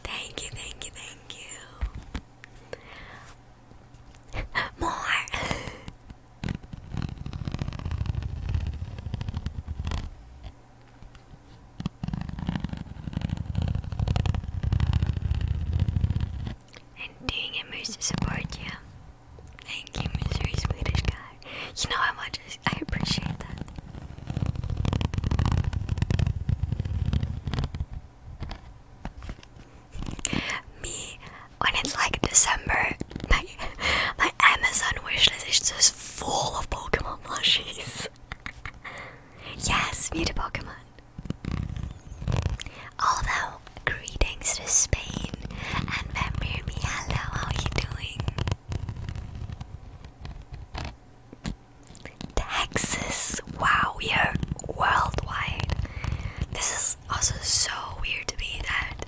Thank you, thank you, thank you. *laughs* More. and doing it moves to support you. Thank you, Mystery Swedish guy. You know how much I appreciate that me when it's like December. My my Amazon wishlist is just full of Pokemon plushies. yes, meet a Pokemon. Although greetings to Spain and remember me. Hello, how are you doing? Texas. Wow, we are worldwide. This is also so weird to be that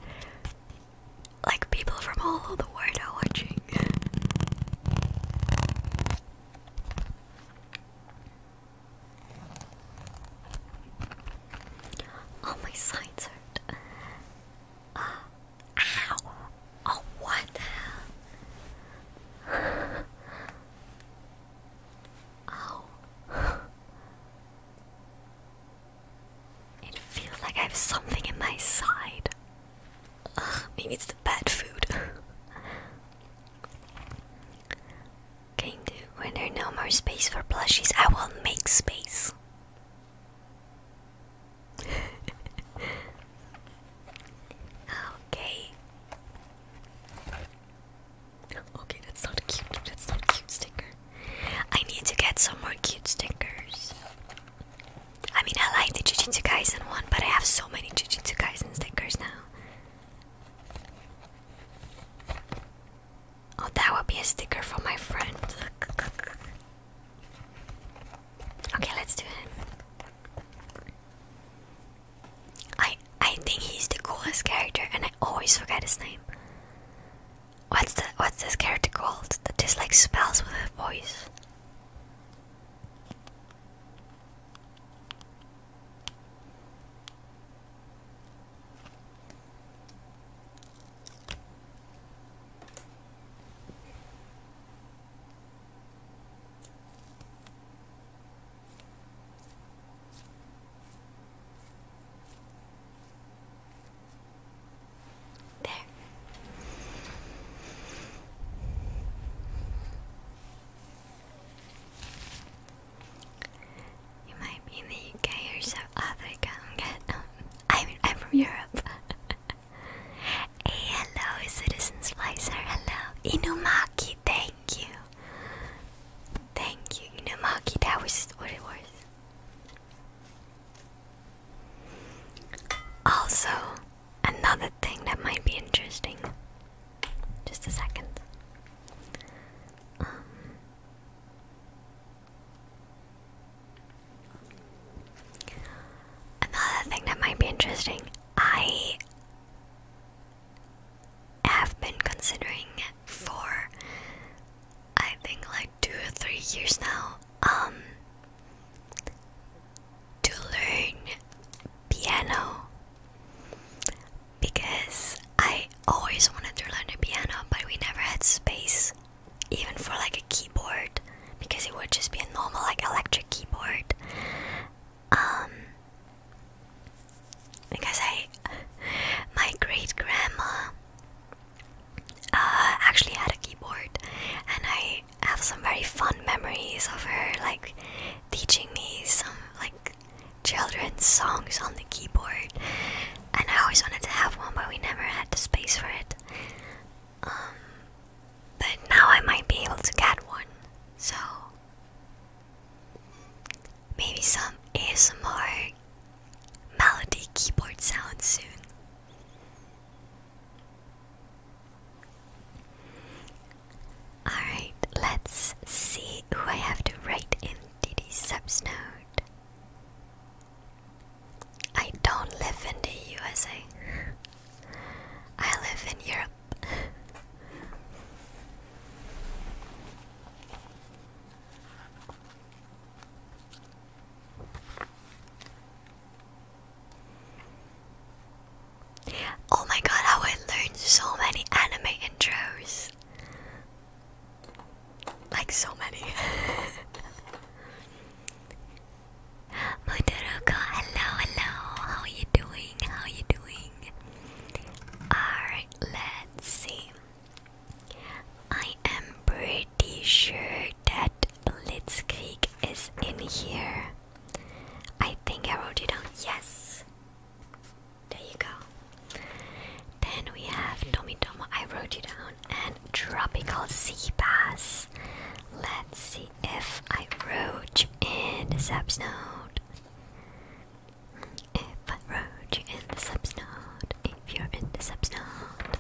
like people from all over the world are watching. *laughs* oh my sides hurt. Uh, Oh what *laughs* Ow. *laughs* it feels like I have something in my side. Ugh, maybe it's the bad food. Can *laughs* when there's no more space for plushies, I will make space. *laughs* okay. Okay, that's not cute. That's not a cute sticker. I need to get some more cute stickers. I mean, I like the Jujutsu Kaisen one, but I have so many Jujutsu Kaisen stickers now. Oh, that would be a sticker for my friend. Okay, let's do it. I I think he's the coolest character, and I always forget his name. What's the what's this character called that just spells with a voice? There. You might be in the UK or South Africa. I'm um, I'm from Europe. *laughs* hey, hello, Citizen Slicer. Hello. Inumaki, thank you. Thank you, you know, Inumaki. That was what it was. Also, another thing that might be interesting. Just a second. Um, another thing that might be interesting. I i have been considering for I think like two or three years now um, to learn piano because I always wanted to learn the piano but we never had space even for like a keyboard because it would just be a normal like electric keyboard um, because I, my great grandma, uh, actually had a keyboard, and I have some very fun memories of her like teaching me some like children's songs on the keyboard, and I always wanted to have one, but we never had the space for it. Um, but now I might be able to get one, so Maybe some ASMR melody keyboard sounds soon. Alright, let's see who I have to write in DD subs node. I don't live in the USA. I live in Europe. Oh my god, how I learned so many anime intros. Like so many. *laughs* Motoruko, hello, hello. How are you doing? How are you doing? Alright, let's see. I am pretty sure that Litzkrieg is in here. I think I wrote it down. Yes! There you go. Then we have Tommy Tomo, I wrote you down, and Tropical Sea Bass. Let's see if I wrote in the note. If I rode you in the subsnod, if you're in the subsnod,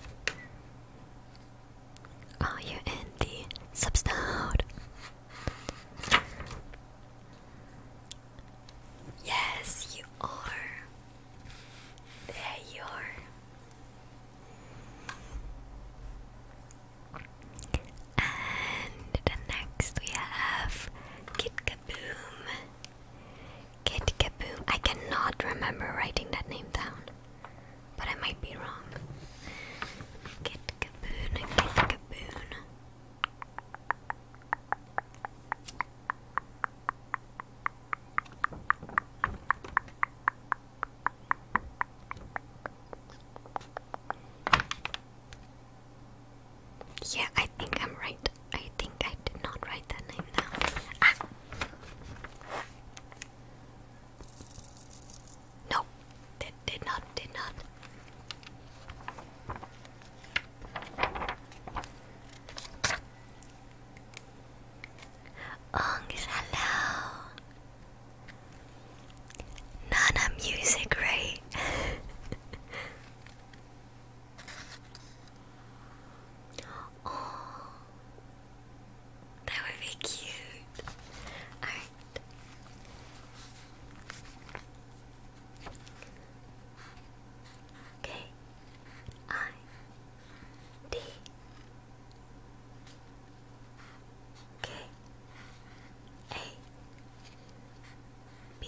are oh, you in the subsnod? Yes, you are. There you are. And the next we have Kit Kaboom. Kid Kaboo! I cannot remember writing that name down, but I might be wrong. Kid Kaboon, Kid Kaboon. Yeah, I think I'm right. I think I did not write that name down. Ah. No, did did not did not. Ong hello. Nana music, right? *laughs* Oh, that would be cute. Alright. K I D K A B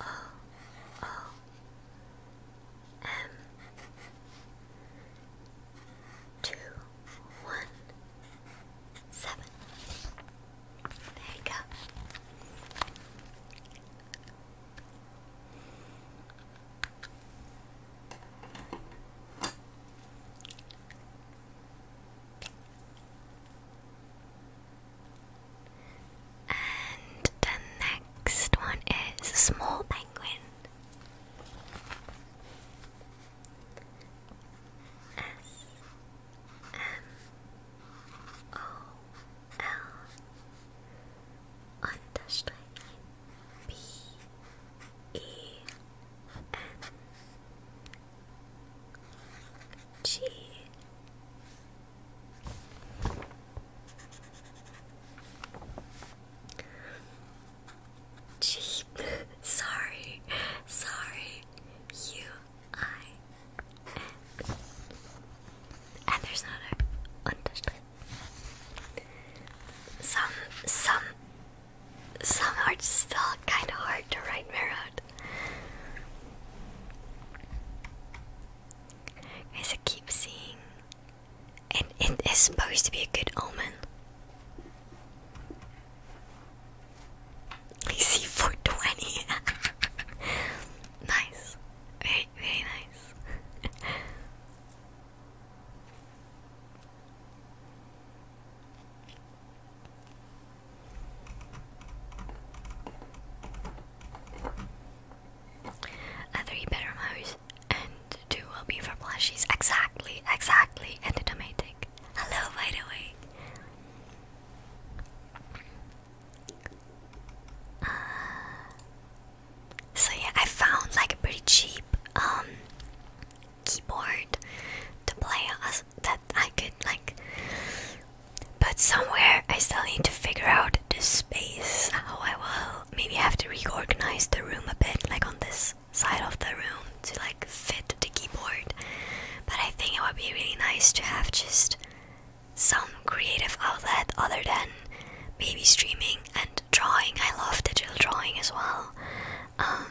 O O M two one seven. There you go. And the next one is Small Penguin. S M O L understrike B E N G Cheap. *laughs* Sorry. Sorry. U I N. And there's not a Some some some are still kinda hard to write mirrored. Guys, I keep seeing. And it is supposed to be a good omen. I see 420. *laughs* nice. Very, very nice a three bedroom house and two will be for plushies. Exactly, exactly. And a tomatic. Hello, by the way. Uh, so yeah, I found like a pretty cheap um keyboard to play as that I could like but somewhere I still need to figure out the space. How I will maybe have to reorganize the room a bit, like on this side of the room to like fit the keyboard. But I think it would be really nice to have just some creative outlet other than maybe streaming and drawing. I love digital drawing as well. Um,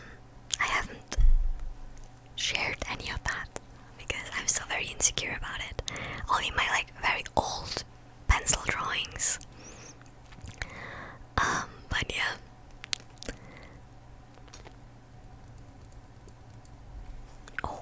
I haven't shared any of that because I'm still very insecure about it. Only my like very old pencil drawings. Um, but yeah. Oh.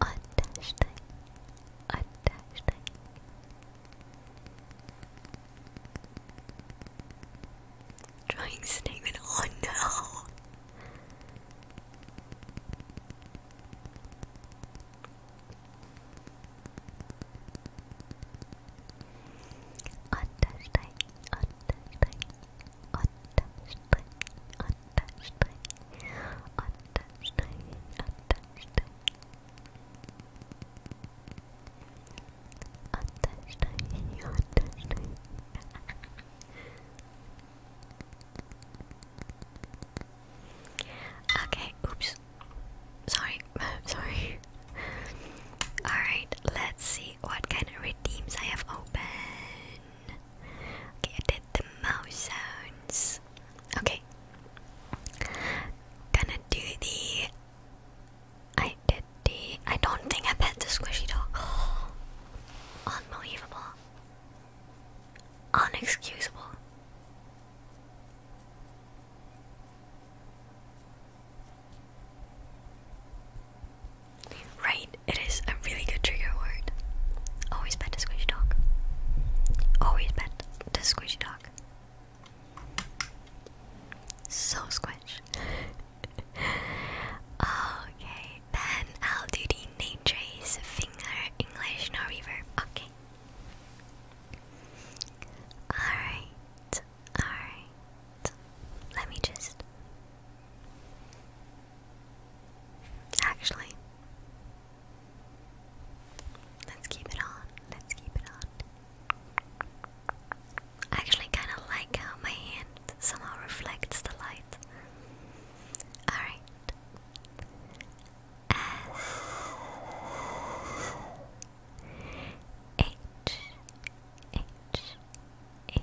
Attachting, attachting. Trying statement. *laughs* Oh no. Attaching, attaching, attaching untouched, untouched, okay, oops. Sorry, *laughs* sorry. Alright, let's see what kind of redeems I have opened. Okay, I did the mouse sounds. Okay. Gonna do the. I did the. I don't think I pet the squishy dog. *gasps* unbelievable. Unexcusable. Right, it is really good trigger word. Always pet a squishy dog. Always pet the squishy dog. So squish. *laughs* okay, then I'll do the name finger English no reverb. Okay. Alright, alright. Let me just. Actually, Let's keep it on. Let's keep it on. I actually kind of like how my hand somehow reflects the light. Alright. S H H H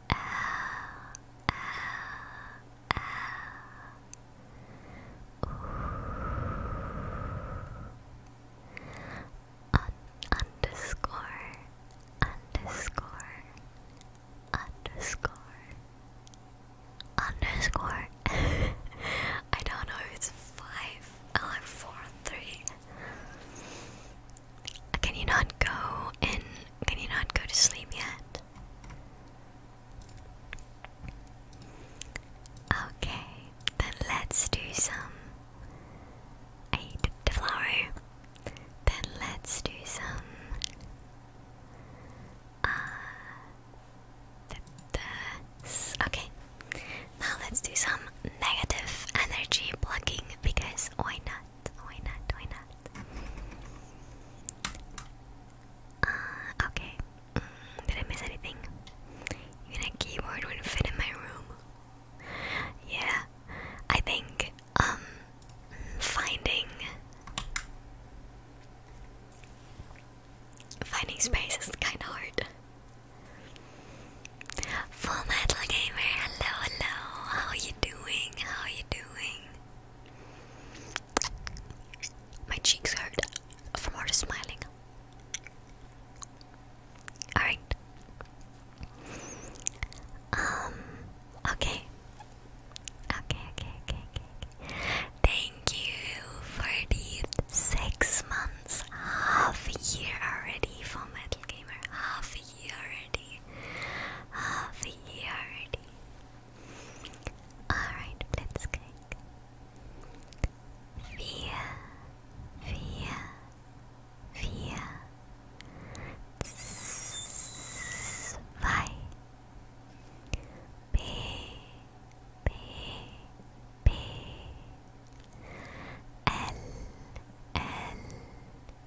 Ow, ow, ow. Un underscore, underscore, underscore, *laughs* underscore. I don't know it's five oh, can you not go and can you not go to sleep yet? Okay, then let's do some. I flower. Then let's do some. Uh, the, the, okay, now let's do some negative energy blocking because why not? Why not? Why not? Uh, okay. Mm, did I miss anything? Even keyboard wouldn't fit in my room. Yeah, I think um, finding finding space is kind of hard. Full Metal Gamer, hello, hello. How are you doing? How are you doing? My cheeks hurt from all the smiling. Alright. Um okay. Okay, okay, okay, okay. Thank you for the six months. Half a year already for Metal Gamer. Half a year already. Half year Alright, let's click. Via, B, B, B. L, L,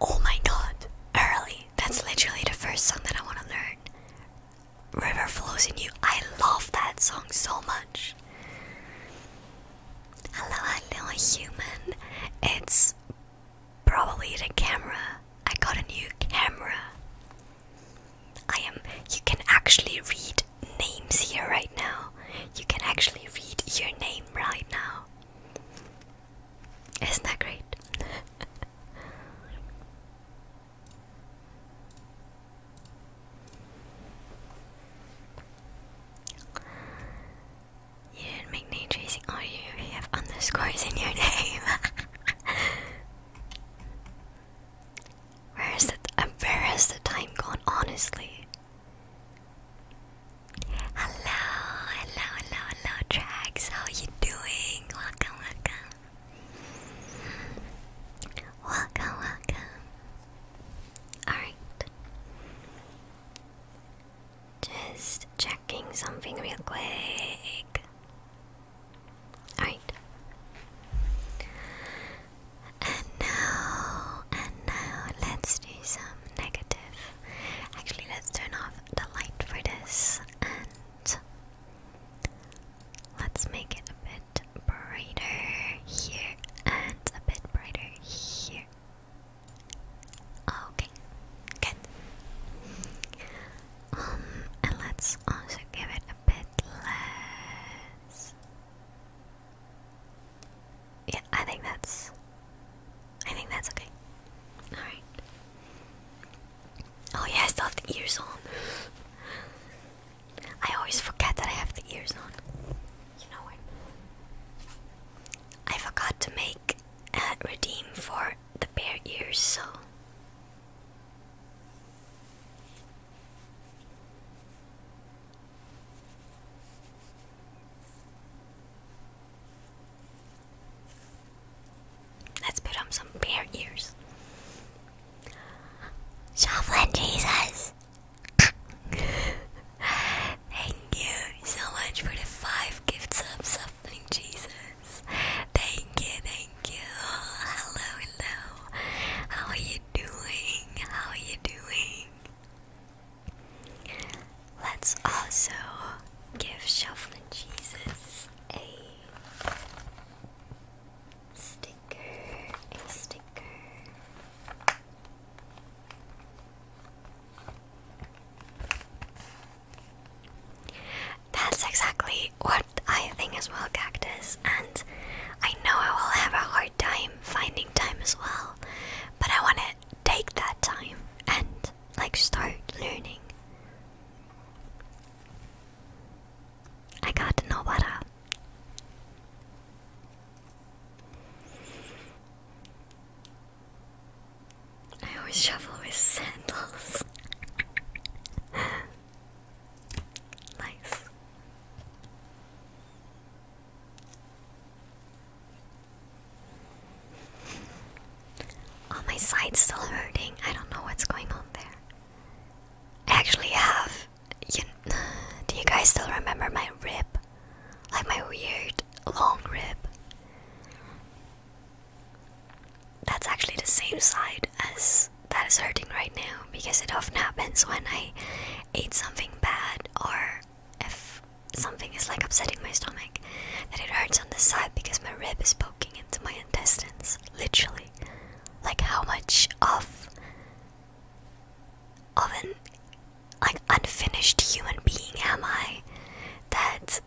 Oh my god! Early! That's literally the first song that I want to learn. River flows in you. I love that song so much. Hello, hello, human. It's probably the camera. I got a new camera. I am. You can actually read names here right now. You can actually read your name right now. Isn't that great? *laughs* you didn't make name tracing, Oh, you have underscores in your *laughs* name. *laughs* Where is the, uh, where has the time gone, honestly? Hello, hello, hello, hello, Drax. How you doing? Welcome, welcome. Welcome, welcome. Alright. Just checking something real quick. Alright. And now, and now, let's do some negative. Actually, let's turn off the light for this and let's make it a bit brighter here and a bit brighter here. Okay, good. Um, and let's also give it a bit less. Yeah, I think that's I think that's okay. Alright. Oh yeah, I have the ears on. I always forget that I have the ears on. You know what? I forgot to make a uh, redeem for the bear ears, so Let's put on some bear ears. Shuffling Jesus! *laughs* Thank you so much for the five gift subs, Shuffling Jesus. Thank you, thank you. Hello, hello. How are you doing? How are you doing? Let's also give Shuffling Jesus a sticker, a sticker. That's exactly what I think as well, Cactus, and I know I will have a hard time finding time as well. But I want to take that time and like start learning. I got to know I always shuffle with sandals. *laughs* nice. Oh, my side's still hurting. I don't know what's going on there. I actually have. *sighs* do you guys still remember my rib? Like my weird long rib? That's actually the same side as that is hurting right now because it often happens when I ate something bad or if something is like upsetting my stomach, that it hurts on the side because my rib is poking into my intestines. Literally. Like how much of of an like unfinished human being am I that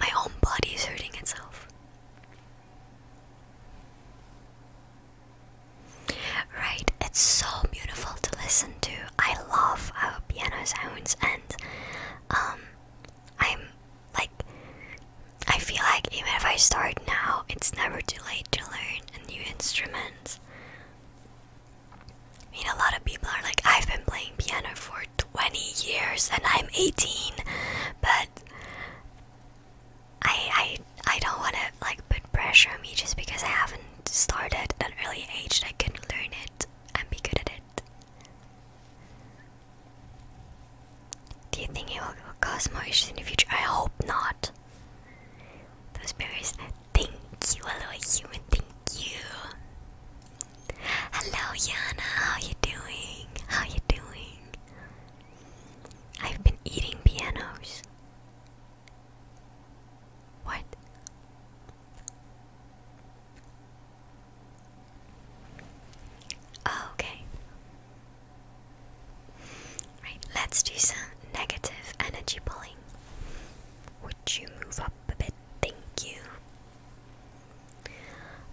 my own body is hurting itself. Right, it's so beautiful to listen to. I love how piano sounds, and um, I'm like, I feel like even if I start now, it's never too late to learn a new instrument. I mean, a lot of people are like, I've been playing piano for 20 years and I'm 18, but I, I I don't want to like put pressure on me just because I haven't started at an early age and I can learn it and be good at it. Do you think it will cause more issues in the future? I hope not. Those berries. Thank you, hello human. Thank you. Hello, Yana. How you doing? How you doing? I've been eating pianos. What? Oh, okay. Right, let's do some negative energy pulling. Would you move up a bit? Thank you.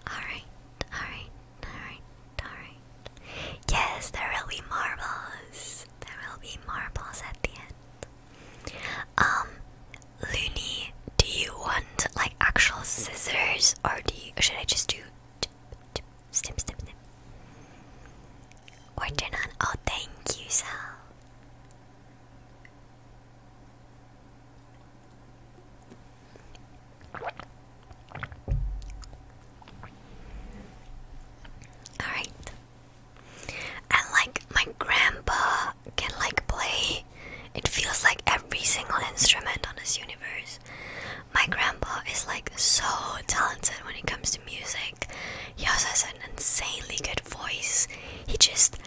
Alright, alright, alright, alright. Yes, they're really marvelous there will be marbles at the end. Um, Looney, do you want like actual scissors or do you, should I just do snip, snip, snip? Or turn on? Oh, thank you, Sal. All right. And like my grandpa can like play it feels like every single instrument on this universe. My grandpa is like so talented when it comes to music. He also has an insanely good voice. He just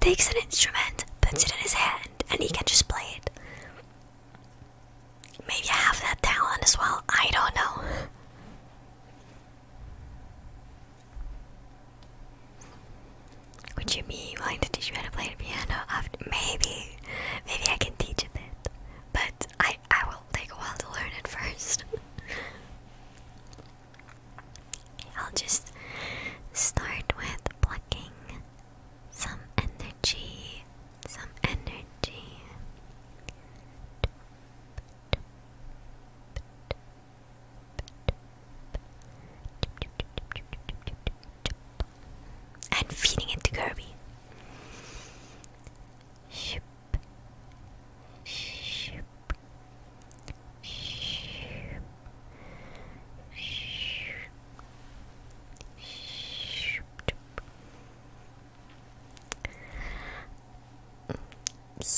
takes an instrument, puts it in his hand, and he can just play it. Maybe I have that talent as well. I don't know. Would you be willing to teach me how to play the piano maybe maybe I can teach a bit. But I I will take a while to learn it first. *laughs* I'll just start with plucking some energy. Some energy. And feeding it to Kirby.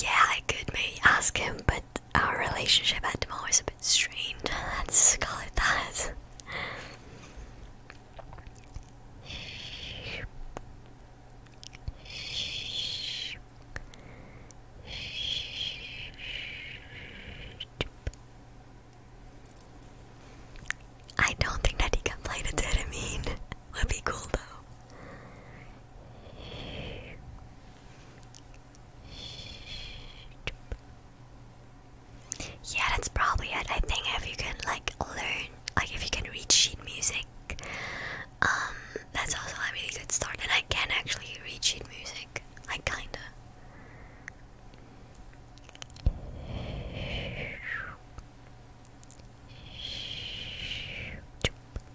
Yeah, I could maybe ask him, but our relationship at the moment is a bit strained. Let's call it that. I don't think that he can play the dead, Would be cool though. Yeah, that's probably it. I think if you can like learn, like if you can read sheet music, um, that's also a really good start. And I can actually read sheet music, like kinda.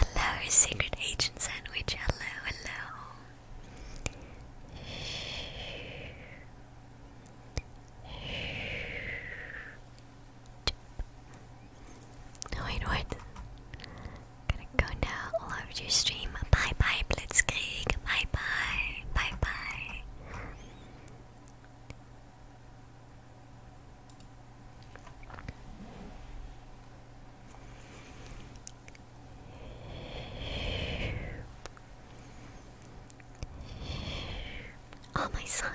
Hello, secret agent sandwich. Hello, hello. Wait, what? Gonna go now all over your stream. Bye bye, Blitzkrieg. Bye bye. Bye bye. On my side.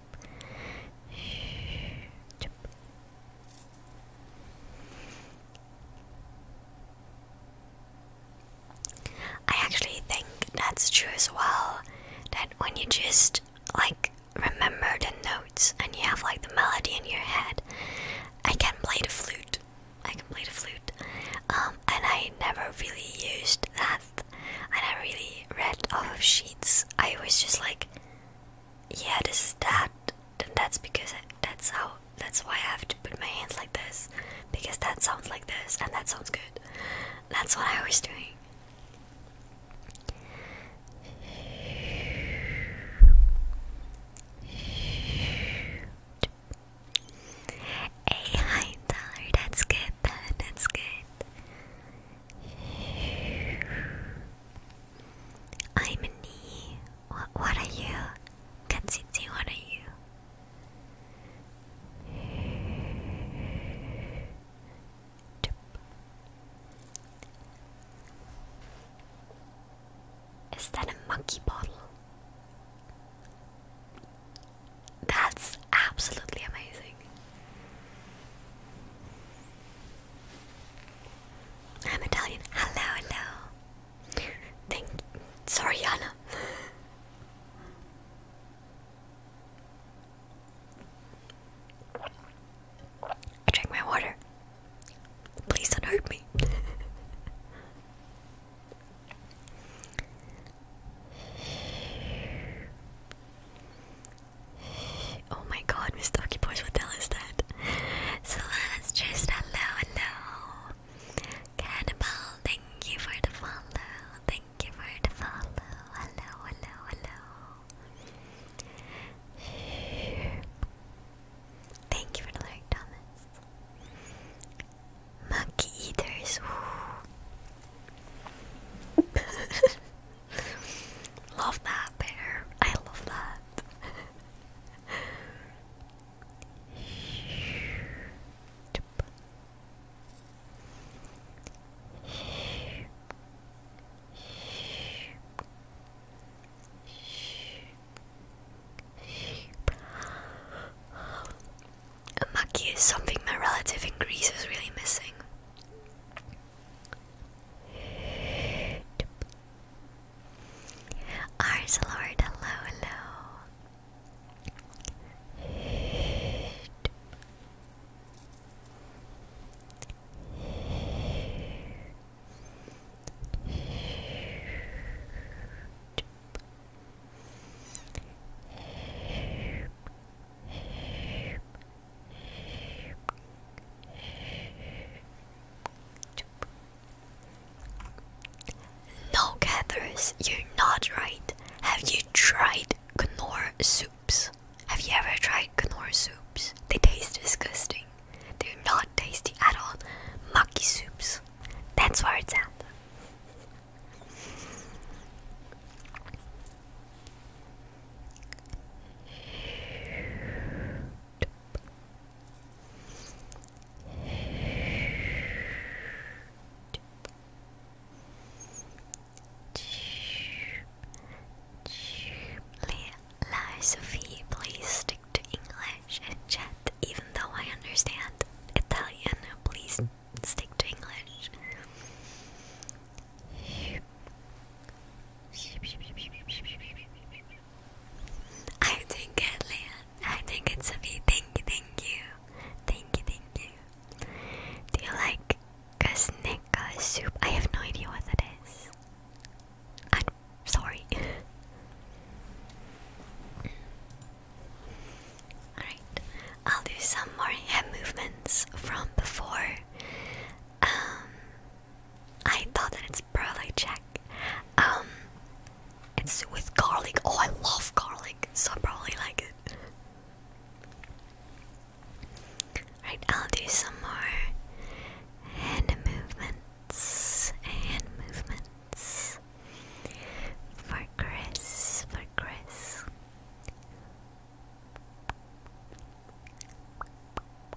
I actually think that's true as well. That when you just like remember the notes and you have like the melody in your head, I can play the flute. I can play the flute. Um, and I never really used that. And I never really read off of sheets. I was just like, yeah, this is that. Then that's because that's how. That's why I have to put my hands like this, because that sounds like this, and that sounds good. That's what I was doing. Hey, hi, Tyler. That's good. That's good. I'm a What, what are you? Katsitsi, what are you? Is that a monkey bottle? That's absolutely amazing. I'm Italian. Hello, hello. Thank. Sorry, Anna. I drank my water. Please do me. Oh my god, Mr. Ducky Boys, what the hell is that? Solana's just hello, hello. Cannibal, thank you for the follow. Thank you for the follow. Hello, hello, hello. Thank you for the like, Thomas. Monkey eaters. *laughs* *laughs* love that bear. I love that. A maki is something my relative in Greece is really missing. Ours Lord, hello, hello. No, Cathers, you're not right. Have you tried Knorr soups? Have you ever tried Knorr soups? They taste disgusting. They're not tasty at all. Maki soups. That's where it's at. La Sophie, please stick to English and chat, even though I understand Italian. Please stick to English. I think it's a me. Thank you, thank you. Thank you, thank you. Do you like Kasneka soup? I have no idea what that is. I'm sorry. *laughs* Alright, I'll do some more hand movements from before. Um, I thought that it's probably check. Um, it's with garlic. Oh, I love garlic, so I probably like it. Right, I'll do some more hand movements, hand movements for Chris, for Chris.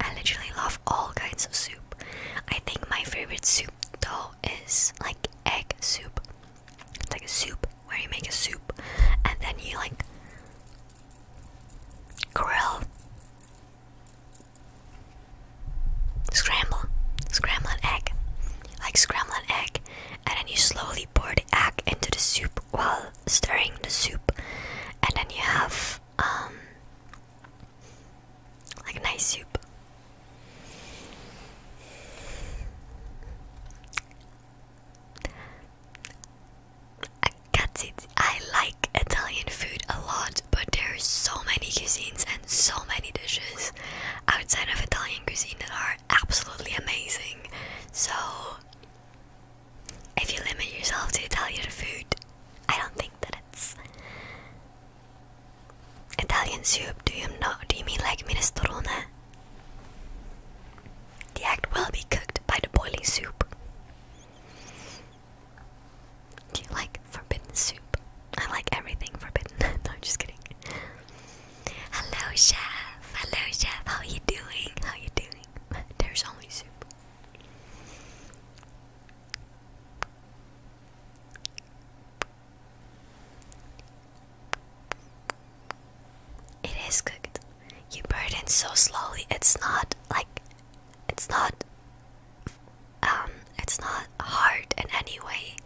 I literally love all kinds of soup. I think my favorite soup though is like egg soup. It's like a soup where you make a soup and then you like grill scramble scramble an egg like scramble an egg and then you slowly pour the egg into the soup while stirring the soup and then you have um like a nice soup. I got it. I like Italian food a lot, but there are so many cuisines and so many dishes outside of Italian cuisine that are absolutely amazing. So, if you limit yourself to Italian food, I don't think that it's Italian soup. Do you know? Do you mean like minestrone? The act will be cooked by the boiling soup. Do you like forbidden soup? I like everything forbidden. *laughs* no, I'm just kidding. Hello, chef. Hello, chef. How are you doing? How are you doing? *laughs* There's only soup. It is cooked. You burn it so slowly. It's not like it's not um it's not hard in any way.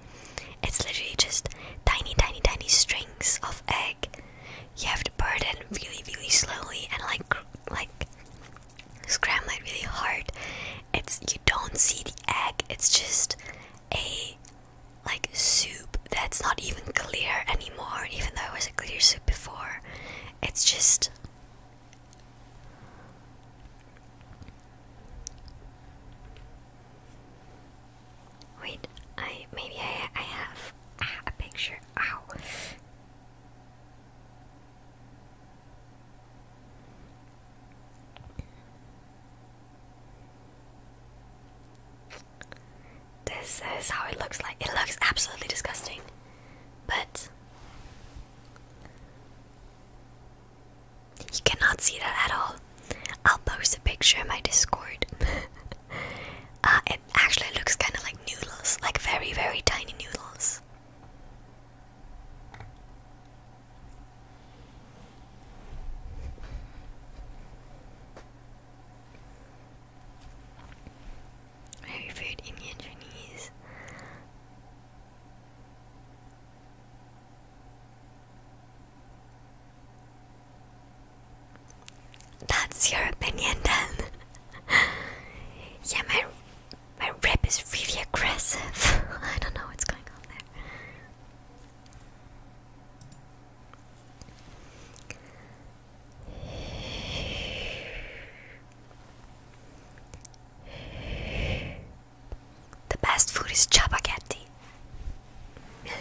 It's literally just tiny tiny tiny strings of egg. You have to burn it really really slowly and like like scramble really hard. It's you don't see the egg. It's just a like soup that's not even clear anymore, even though it was a clear soup before. It's just Wait, I maybe I I have a picture. Ow. This is how it looks like. It looks absolutely disgusting. But you cannot see that at all. I'll post a picture in my Discord. *laughs* uh, it actually looks kind of like noodles, like very, very tiny noodles. Very food in Chinese. That's your opinion then. *laughs* yeah, my my rep is really aggressive. *laughs* I don't know what's going on there. The best food is chapaghetti. *laughs*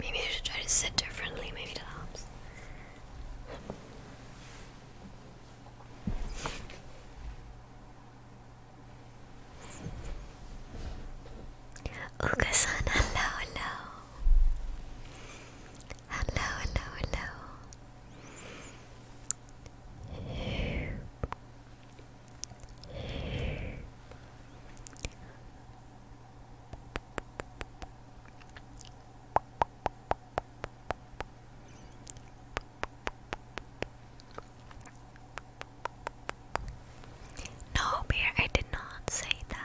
Maybe I should try to sit differently, maybe that helps. uka hello, hello. Hello, hello, hello. No, Bear, I did not say that.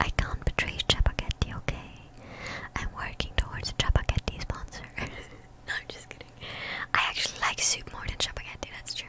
I can't betray Chapagetti, okay? I'm working towards a Chapagetti sponsor. *laughs* I'm just kidding. I actually like soup more than Chapagetti, that's true.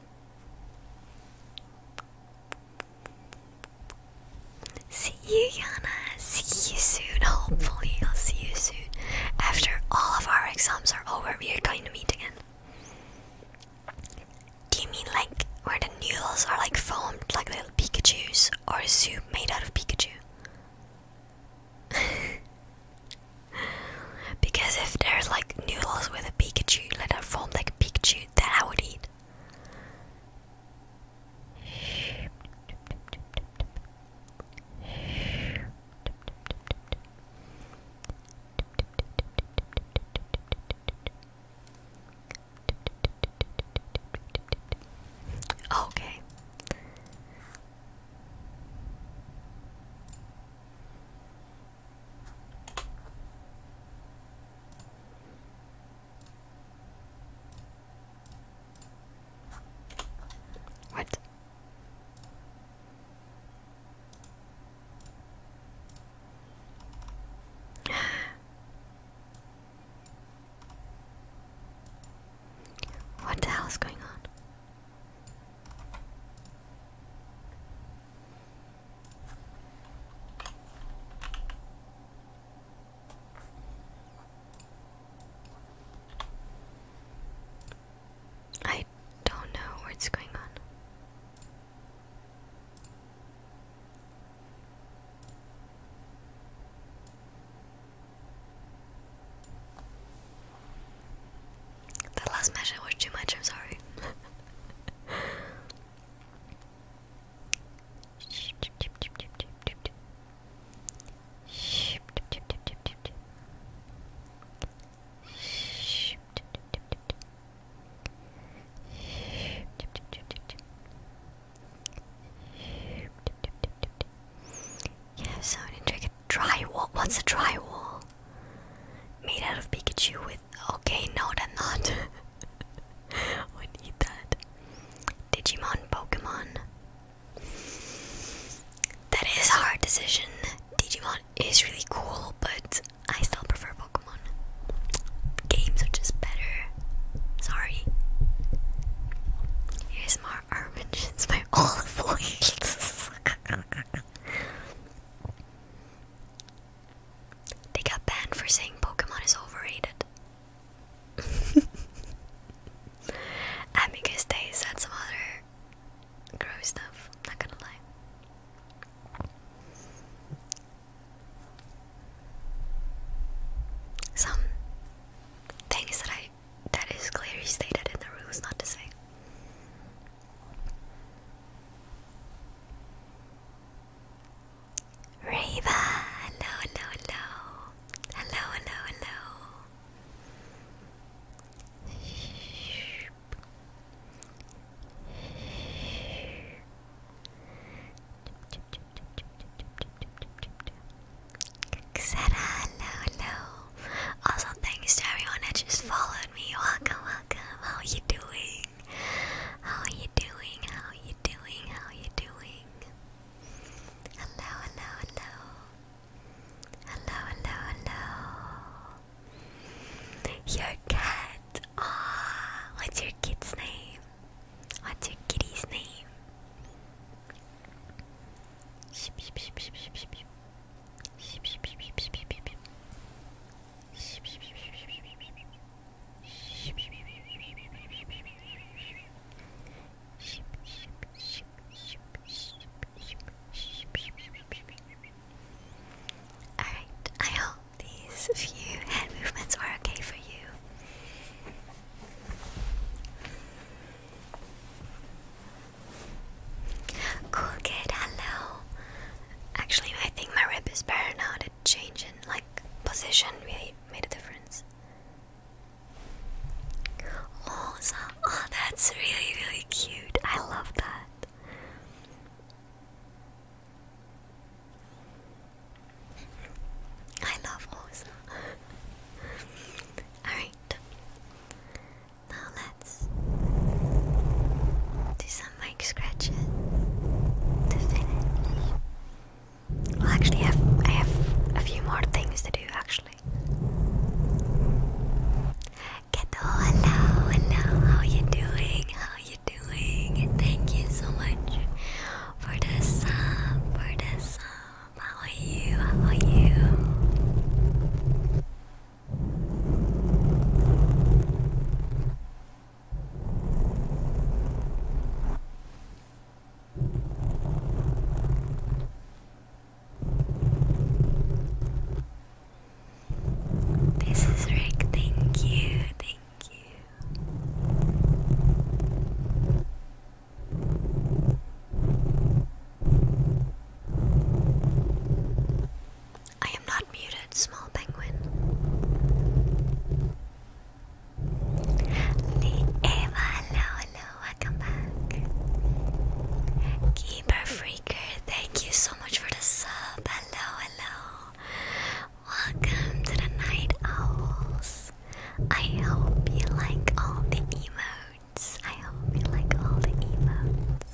See you, Yana. See you soon. Hopefully, I'll see you soon. After all of our exams are over, we are going to meet again. Do you mean like where the noodles are like foamed like little Pikachu's or a soup made out of Pikachu? *laughs* because if there's like noodles with a Pikachu like that form like a Pikachu, that I would eat. Okay. What? *gasps* What the hell is going on? I don't know what's going on. That last measure was too much, I'm sorry. Yeah, so I didn't drink a drywall. What's a drywall? Made out of Pikachu with. Okay, no, that's not. *laughs* we need that. Digimon Pokemon. That is a hard decision. Digimon is really cool, but I still prefer Pokemon. Games are just better. Sorry. Here's more armations by olive oils. They got banned for saying Pokemon is overrated. *laughs* Amicus Day said some other gross stuff, not gonna lie. Some things that I that is clearly stated in the rules not to say. Reva, hello, hello, hello. Hello, hello, hello. Xena, hello, hello. Also, thanks to everyone that just followed me. Welcome, how are you doing? How are you doing? How are you doing? How are you doing? Hello, hello, hello. Hello, hello, hello. Your cat. Ah, oh, what's your kit's name? What's your kitty's name? Alright, I hope these few head movements are okay for you. Cool, good, hello. Actually, I think my rib is better now. The change in like position really made a difference. Oh, oh, that's really really cute. I love that. I love Osa. Alright. Now do some mic scratches to finish. Well, actually, have I have a few more things to do. Actually, Keto, hello, hello. How you doing? How you doing? Thank you so much for the song, For the sub. How are you? How are you? This is Rick, thank you, thank you. I am not muted, small penguin. Eva, hello, hello, welcome back. Keeper Freaker, thank you so much for the sub. Hello, hello. Welcome to the Night Owls. I hope you like all the emotes. I hope you like all the emotes.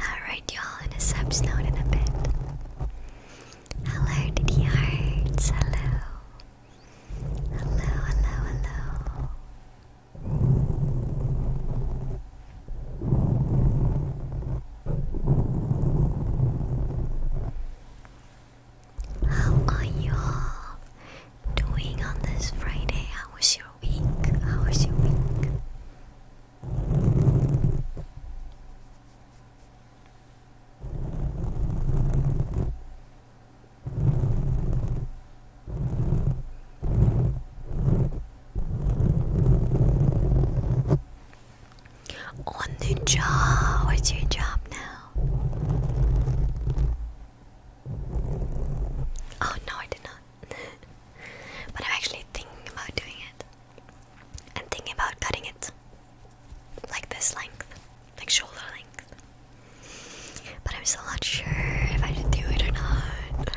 Alright, y'all, in a subs note in a bit. Hello, Diddy Hearts. Hello. Hello, hello, hello. How are you all doing on this Friday? How was your week? How was your week? On the job. What's your job now? Oh no, I did not. *laughs* but I'm actually thinking about doing it. And thinking about cutting it like this length, like shoulder length. But I'm still not sure if I should do it or not.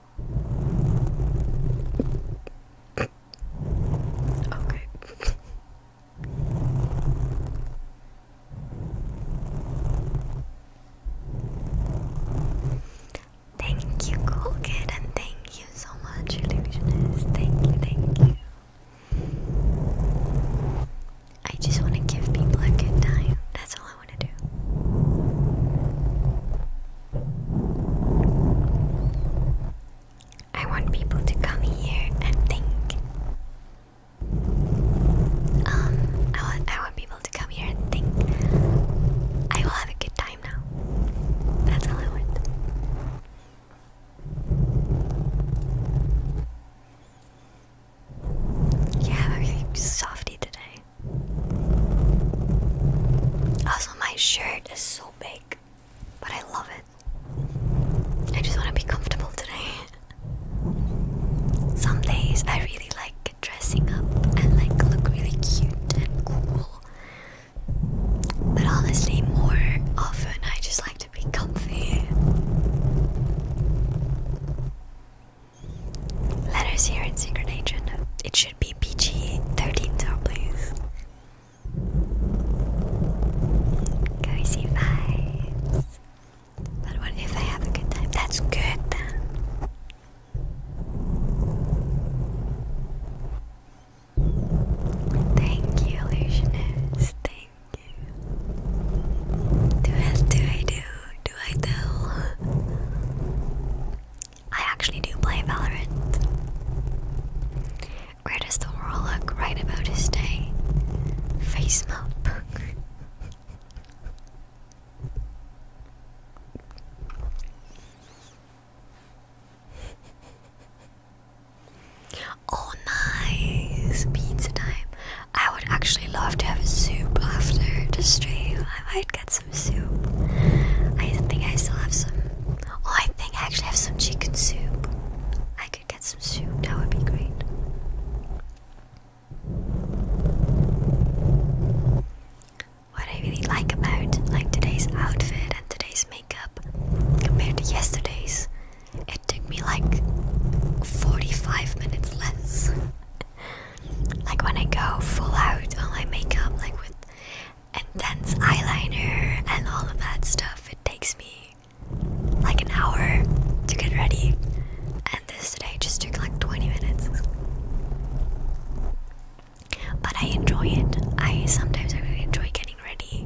Okay. Thank you, Cool thank you so much, Illusionist. Thank you, thank you. I just want to give people a good time. That's all I want to do. I want people to come here and think. Um, I want, I want people to come here and think. I will have a good time now. That's all I want. You have a really softy today. Also, my shirt is so big, but I love it. I just want to be comfortable today. Some days I really like dressing up and like look really cute and cool. But honestly, more often I just like to be comfy. Letters here in Secret Agent should be PG 13 so please. vibes. But what if I have a good time? That's good Thank you, illusionist. Thank you. Do I do I do? Do I do? I actually do play Valorant. Where does the world look right about his day? Face map. oh, nice! Pizza time. I would actually love to have soup after the stream. I might get soup. I think I still have some. Oh, I think I actually have some chicken soup. I could get some soup, that would be great. What I really like about like today's outfit and today's makeup compared to yesterday's, it took me like 45 minutes less. *laughs* like when I go full out on my makeup, like with intense eyeliner and all of that stuff. It takes me like an hour to get ready, and this today just took like 20 minutes. But I enjoy it. I sometimes I really enjoy getting ready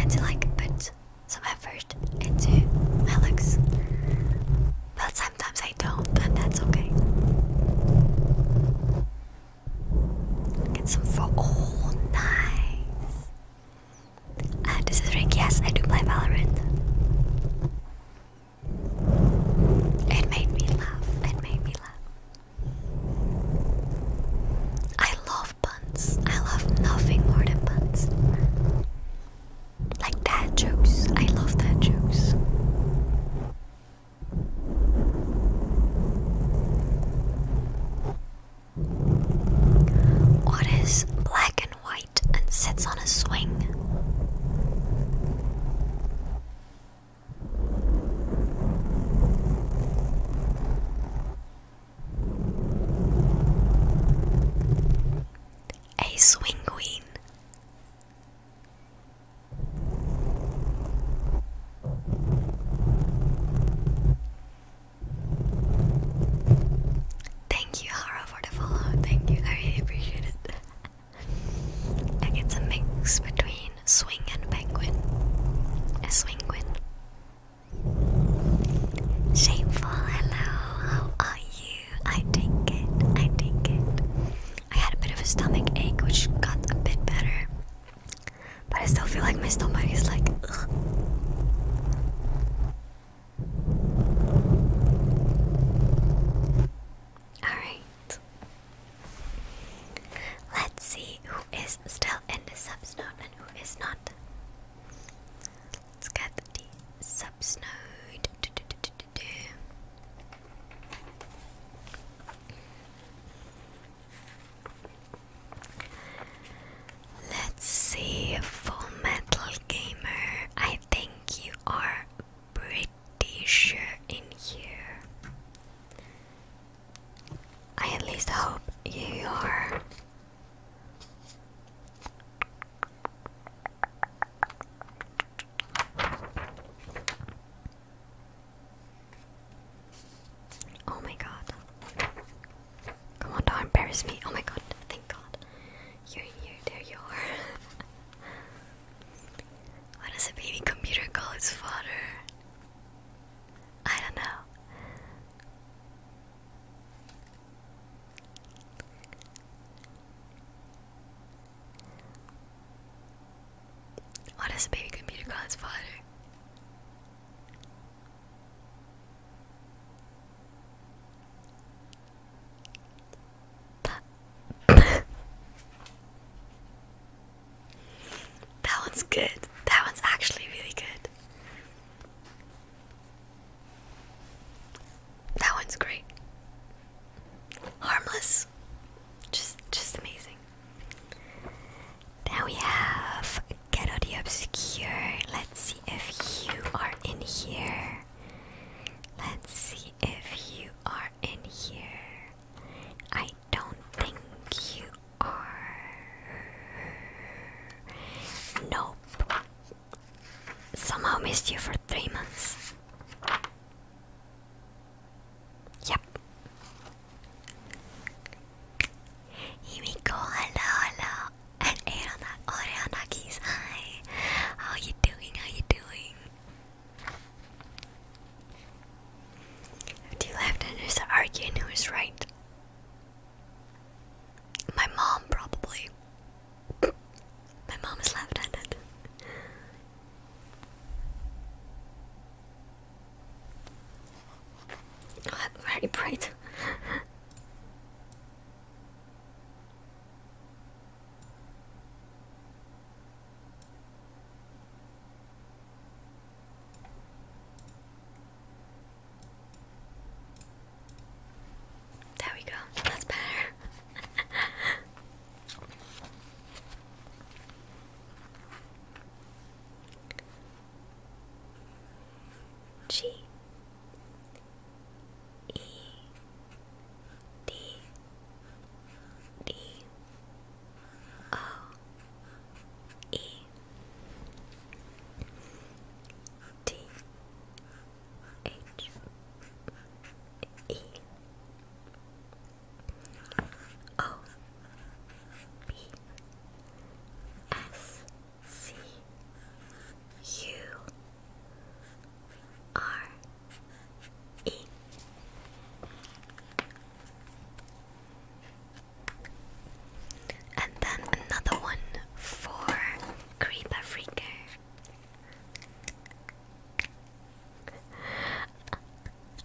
and to like put some effort into my looks. But sometimes I don't, but that's okay. Get some for all oh, nice. Uh, this is Yes, I do play Valorant. It made me laugh. It made me laugh. I love puns. I love nothing more than puns. Like dad jokes. I love dad jokes. What is black and white and sits on a swing? A swing queen. Thank you, Hara, for the follow. Thank you, I really appreciate it. like it's a mix between swing and penguin. A swingwin. Shameful, hello, how are you? I take it, I take it. I had a bit of a stomach ache, which got a bit better. But I still feel like my stomach is like. Ugh. Alright. Let's see who is still in the subs and who is not. Let's get the subs Let's see, Full Metal Gamer. I think you are pretty sure in here. I at least hope you are. Oh my god. Come on, don't embarrass me. Oh my god, thank god. you here, there you are. *laughs* what does a baby computer call its father? I don't know. Why oh, does a baby computer call its father? *laughs* that one's good. That one's actually really good. That one's great. Harmless. Just just amazing amazing. we have Ghetto Obscure. Let's see if you are in here. Let's see if you are in here. I don't think you are. Nope. Somehow missed you for three months. Yep. Himiko, hello, hello. And Arana, Oreanakis, oh, hi. How you doing? How you doing? Two left-handers are arguing who is right. My mom, probably. My mom is left handed very bright. there we go. That's better. *laughs* G E D D O E T H E O B S C U R E and then another one for Creeper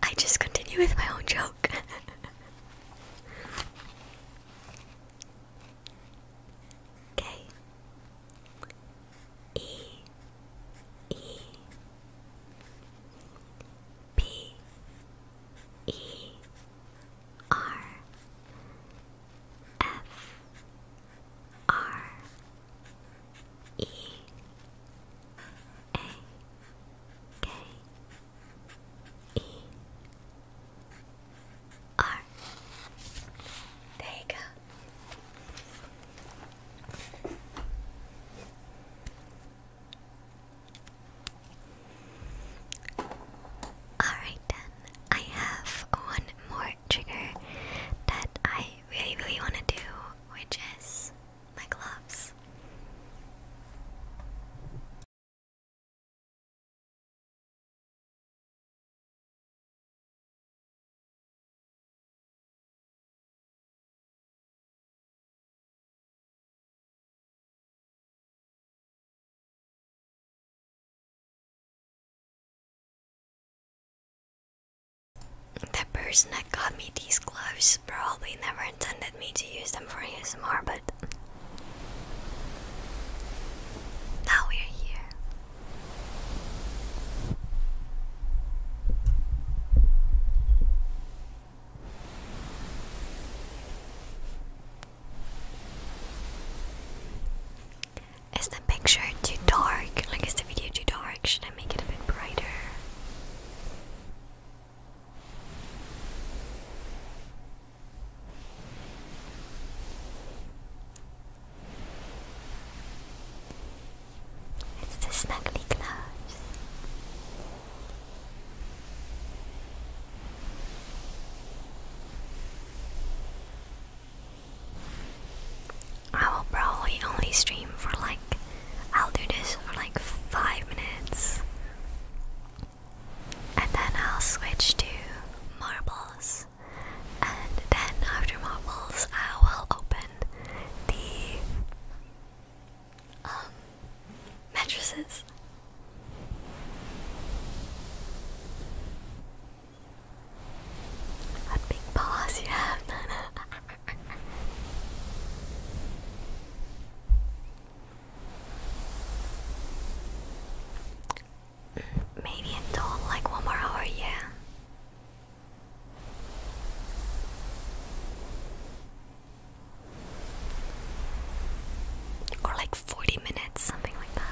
I just continue with my own joke. *laughs* okay. E E P E R F R E a K E R. There you go. Alright, then I have one more trigger that I really, really want to do, which is my gloves. The person that got me these gloves Alex probably never intended me to use them for ASMR, but now we're here. Is the picture too dark? Like, is the video too dark? Should I make it a bit brighter? It's the snuggly clouds. I will probably only stream for like I'll do this for like five minutes. And then I'll switch to marbles. And then after marbles, I will open the um, mattresses. What big paws you *laughs* Maybe until like one more hour, yeah. Or like 40 minutes, something like that.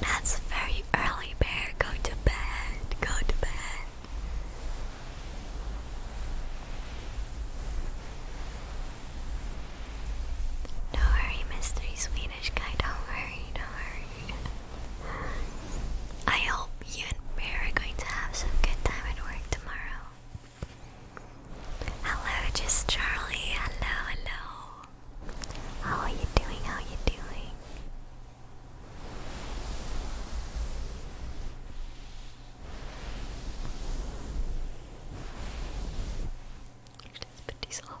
That's very early, Bear. Go to bed. Go to bed. Don't worry, Swedish guy. Don't worry, don't worry. I hope you and Bear are going to have some good time at work tomorrow. Hello, just Charlie. Hello, hello. How are you doing? How are you doing? Let's put these off.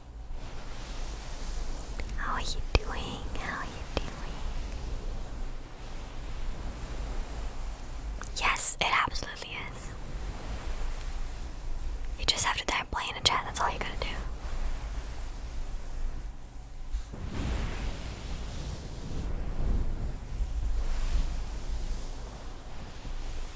How are you doing? How are you doing? Yes, it absolutely is. You just have to type play in a chat, that's all you gotta do.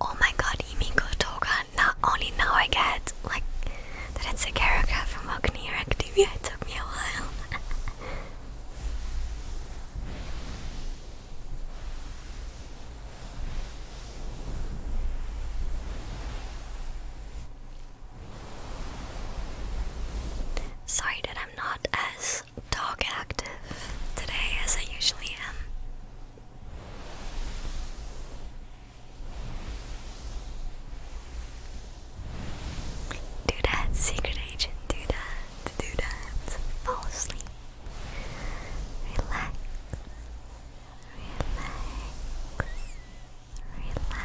Oh my god, Imiko Toga, not only now I get like that it's a character from Oknear Activia, it took me a while. *laughs* Sorry that I'm not as as dog active today as I usually am. Do that, secret agent. Do that. Do that. Fall asleep. Relax. Relax. Relax.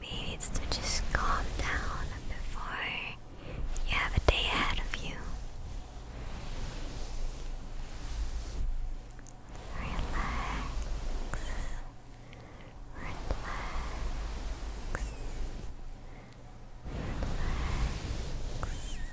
Maybe it's to just calm down before you have a day ahead of you. Relax. Relax. Relax. Relax. Relax. Relax.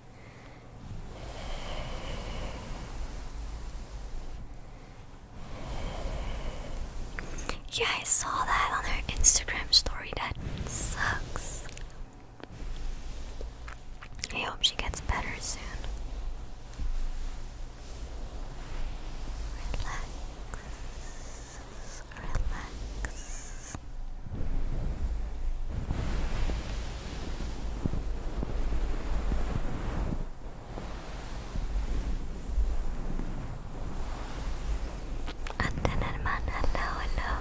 Yeah, I saw that on her Instagram story. That sucks. I hope she gets better soon. Relax. Relax. Andan Herman, hello, hello.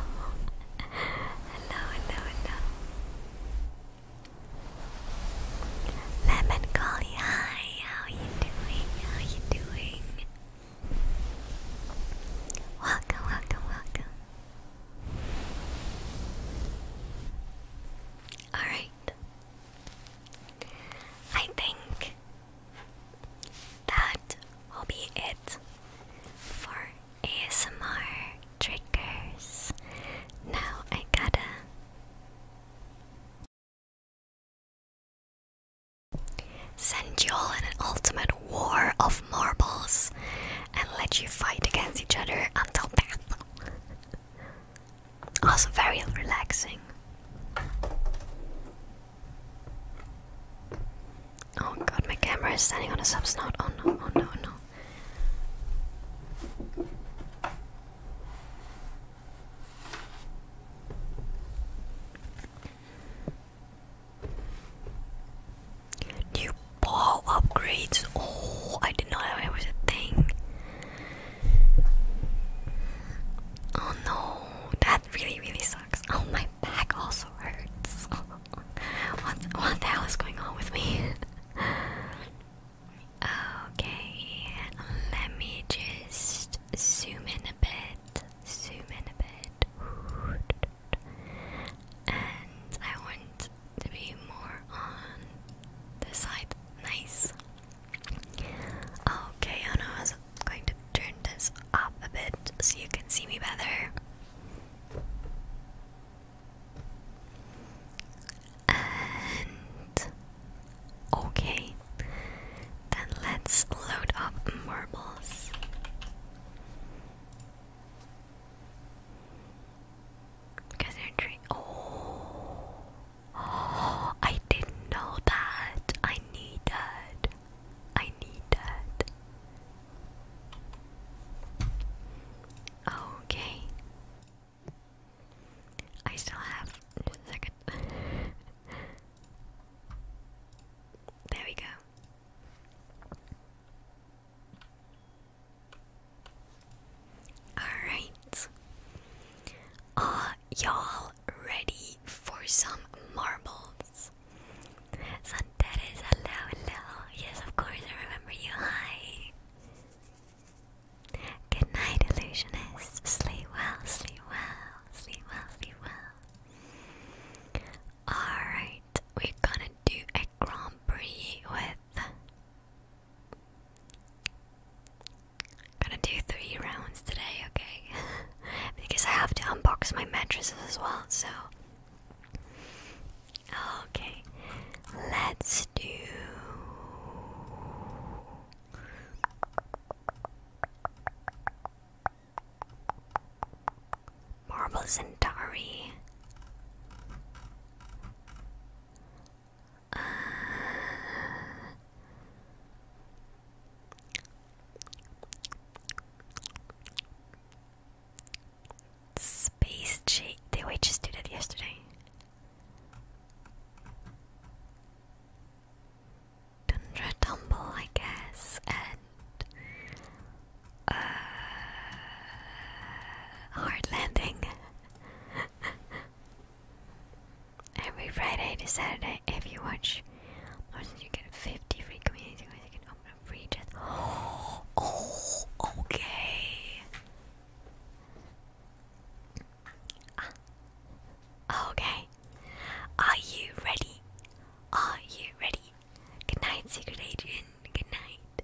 Hello, hello, hello. Lemon Collie, hi, how are you doing? How are you doing? Welcome, welcome, welcome. Alright. I think that will be it for ASMR triggers. Now I gotta. Send you all an ultimate war of marbles and let you fight against each other until death also very relaxing. Oh god, my camera is standing on a subsnot. Oh no, oh no, oh no. Do you ball upgrades. Oh, I did not know it was a thing. Oh no, that really, really sucks. Oh, my back also hurts. *laughs* what, what the hell is going on with me? *laughs* okay, let me just zoom in a bit. Zoom in a bit. And I want to be more on the side. Nice. Okay, Anna is going to turn this up a bit so you can see me better. And okay, then let's load up marbles. Because you're dream. Oh. oh, I didn't know that. I need that. I need that. Okay. I still have just a second. there we go. Alright. Are y'all ready for some marbles? Santeres, hello, hello. Yes, of course, I remember you. Hi. Good night, illusionist. Sleep well, sleep well, sleep well, sleep well. Alright, we're gonna do a Grand Prix with Gonna do three rounds today, okay? *laughs* because I have to unbox my mattresses as well, so. Okay, let's do. Marble Centauri. Uh, space J. Did we just do that yesterday? Tundra Tumble, I guess, and uh, hard landing. Every Friday to Saturday, if you watch Morrison, oh, you get 50 free community coins. You can open a free chest. *gasps* Oh, okay. Ah, okay. Are you ready? Are you ready? Good night, Secret Agent. Good night.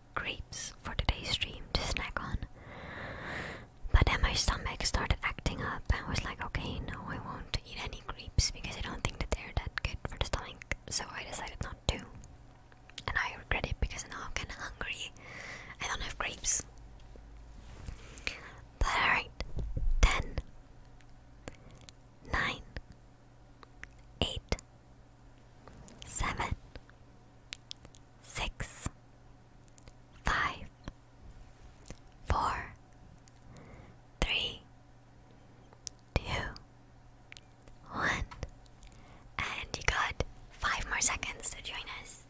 grapes for today's stream to snack on. But then my stomach started acting up, and I was like, okay, no, I won't eat any grapes because I don't think that they're that good for the stomach. So I decided not to. And I regret it because now I'm kinda hungry. I don't have grapes. But alright, 10, 8, seven, six, five, four, three, two, one. And you got five more seconds to join us.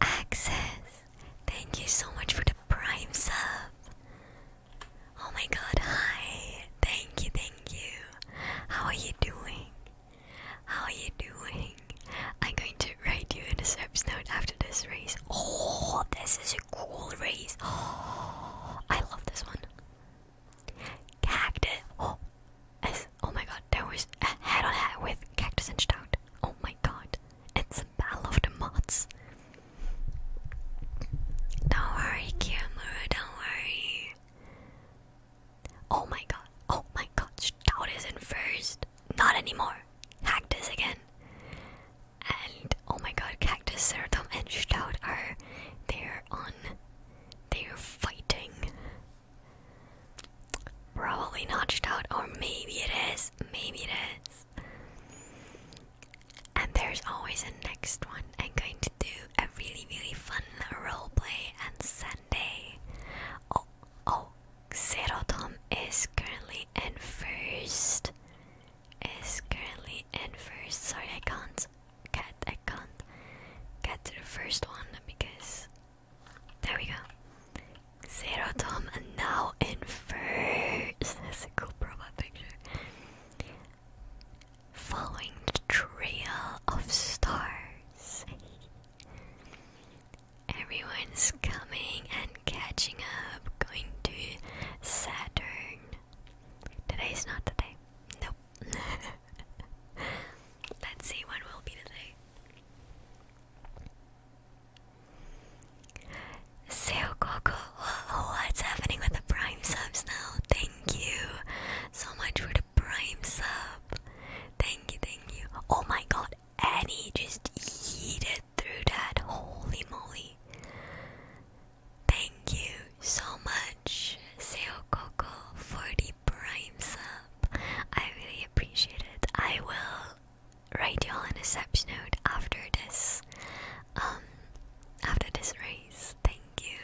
Access Thank you so much for the prime sub. Oh my god, hi. Thank you, thank you. How are you doing? How are you doing? I'm going to write you in the service note after this race. Oh, this is a cool race. Oh, *gasps* I love this one. Cactus. Oh, *gasps* oh my god, there was a head on head with Cactus and Stout. Oh my god. It's a battle of the mods. Don't worry, Kiramura, don't worry. Oh my god, oh my god, Stout is in first. Not anymore. Cactus again. And oh my god, Cactus, Ceratom, and Stout are there on. They're fighting. Probably not Stout, or maybe it is. Maybe it is. And there's always a next one. I'm going to do a really, really fun roleplay on Sunday. Oh, oh, Serotom is currently in first. Is currently in first. Sorry, I can't get, I can't get to the first one because there we go. Zero Tom and now in first. *laughs* That's a cool profile picture. Following the trail of stars. Everyone's coming and catching up, going to Saturn. Today's not the Nope. *laughs* Let's see when will be the day. So Coco, what's happening with the prime subs now? Thank you so much for the prime sub. Thank you, thank you. Oh my god, Annie just yeeted through that. Holy moly. Thank you so much, Seo Coco, for the prime sub. I really appreciate it. I will Radial y'all after this um after this race. Thank you.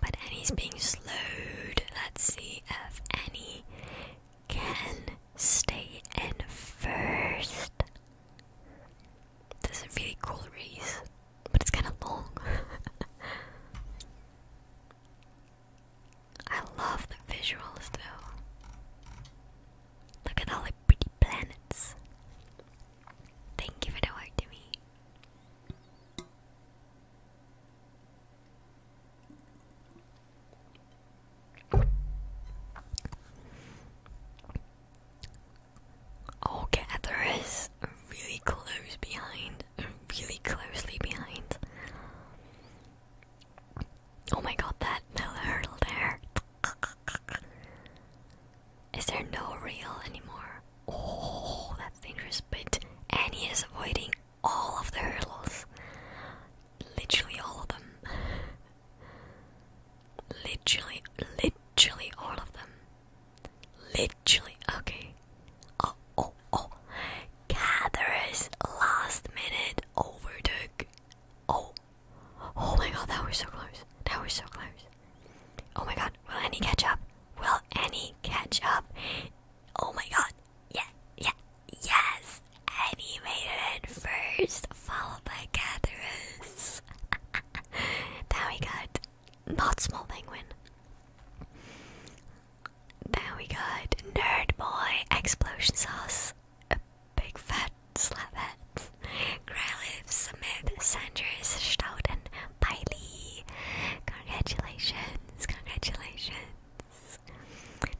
But Annie's being slowed. Let's see if Annie can stay in first. This is really cool race, but it's kind of long. *laughs* I love the visuals though. Look at all the pretty planets. Then give it away to me. Okay, there is really close behind, really closely behind. Oh my god, that little hurdle there. Is there no rail anymore? Oh, that's dangerous. And he is avoiding all of the hurdles. Literally all of them. Literally, literally all of them. Literally, okay. Oh, oh, oh. Gatherers last minute overtook Oh, oh my god, that was so close. That was so close. Oh my god, will any catch up? Will any catch up? Oh my god, yeah, yeah, yes! Annie made it first, followed by Catherus. then *laughs* we got not small penguin. Then we got nerd boy explosion sauce, big fat slapheads. Grylif, Smith, Sanders, Stout, Piley. Congratulations, congratulations.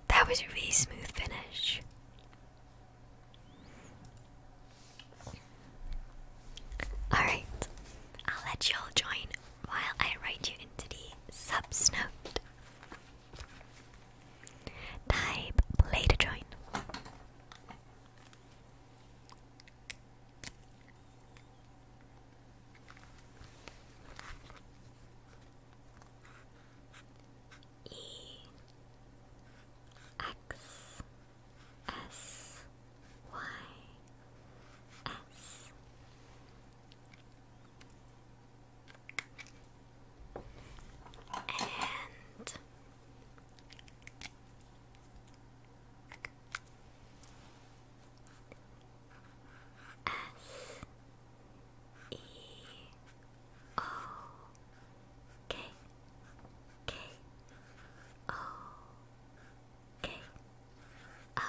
That was a really smooth finish. Alright, I'll let you all join while I write you into the subs Type play to join. E X S Y S and S E O K K O K O.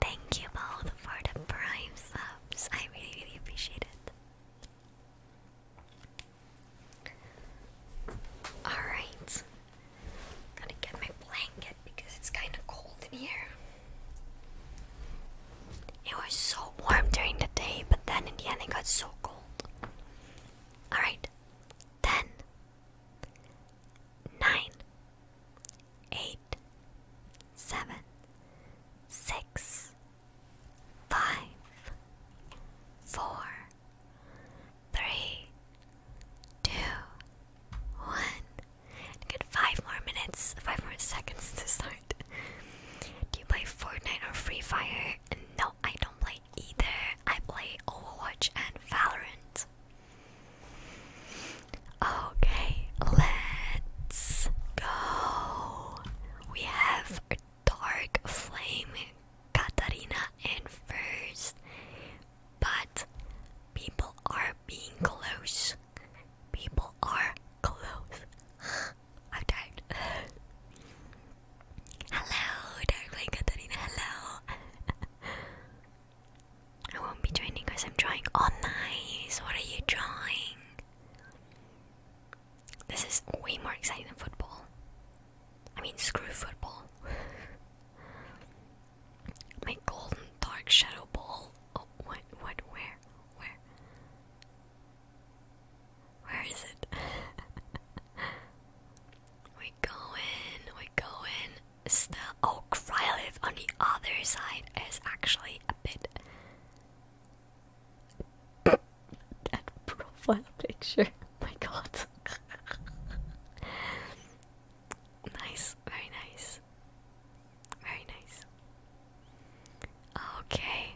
Thank you both for the prime subs. I really, really appreciate it. Alright. Gotta get my blanket because it's kind of cold in here. It was so warm during the day, but then in the end it got so cold. Alright. 10, five, four, three, two, one. get five more minutes, five more seconds to start. Do you play Fortnite or Free Fire? No, I don't play either. I play Overwatch and Valorant. Okay, let's go we have dark flame Katarina and first, but people are being close. People are close. *gasps* I'm tired. *laughs* Hello, Darkwing Katarina. Hello. *laughs* I won't be joining because I'm drawing. Oh, nice. What are you drawing? This is way more exciting than football. I mean, screw football. *laughs* My golden dark shadow ball. Oh, what? What? Where? Where? Where is it? *laughs* we going. We going. Still. Oh, Krylith on the other side is actually a bit that profile picture. *laughs* My god. nice, very nice. Very nice. Okay.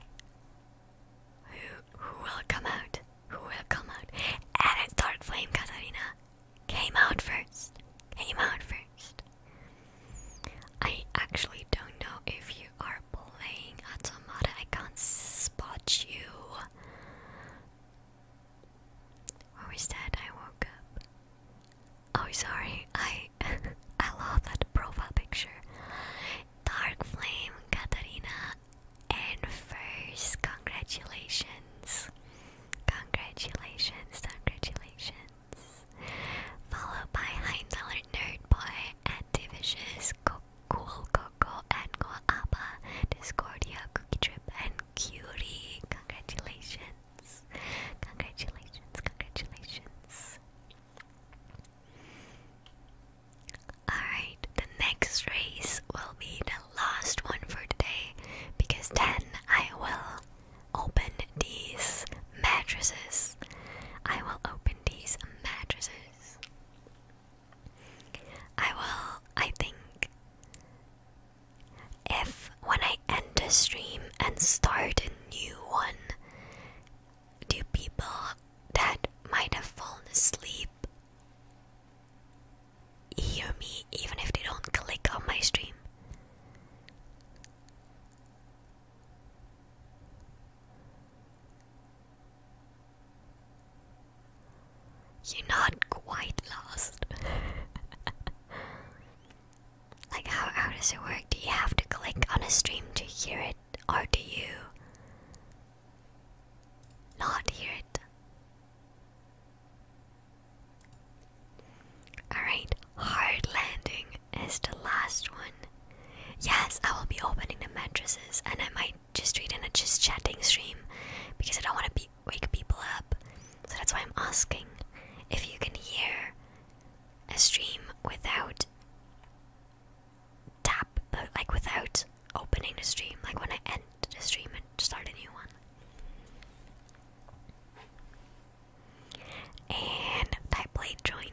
Who who will come out? Who will come out? And it's Dark Flame Katarina. Came out first. Came out first. I actually don't know if you are playing Automata, I can't spot you. Where is that? I woke up. Oh, sorry. I *laughs* I love that profile picture. Dark Flame, Katarina, and first, congratulations. Congratulations, congratulations followed by Heinzeller Nerdboy and Divicious, Cool Coco, and Goaba, Discordia, Cookie Trip, and Cutie. Congratulations! Congratulations! Congratulations! Alright, the next race will be the last one for today because then I will open these mattresses. I will open these mattresses. I will, I think, if when I end a stream and start a new one, do people that might have fallen asleep hear me even if they don't click on my stream? You're not quite lost. *laughs* like, how, how does it work? Do you have to click on a stream to hear it, or do you not hear it? Alright, hard landing is the last one. Yes, I will be opening the mattresses and I might just read in a just chatting stream because I don't want to be wake people up. So that's why I'm asking if you can hear a stream without tap uh, like without opening the stream, like when I end the stream and start a new one. And I played join.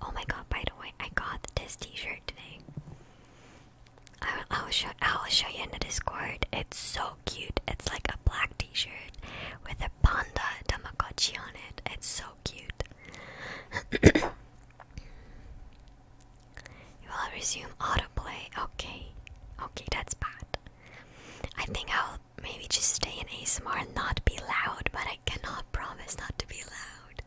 Oh my god! By the way, I got this T-shirt today. I will, I will show I will show you in the Discord. It's so cute. It's like a black T-shirt with a panda Tamagotchi on it. It's so cute. *coughs* you will resume autoplay. Okay, okay, that's bad. I think I'll maybe just stay in ASMR and not be loud, but I cannot promise not to be loud.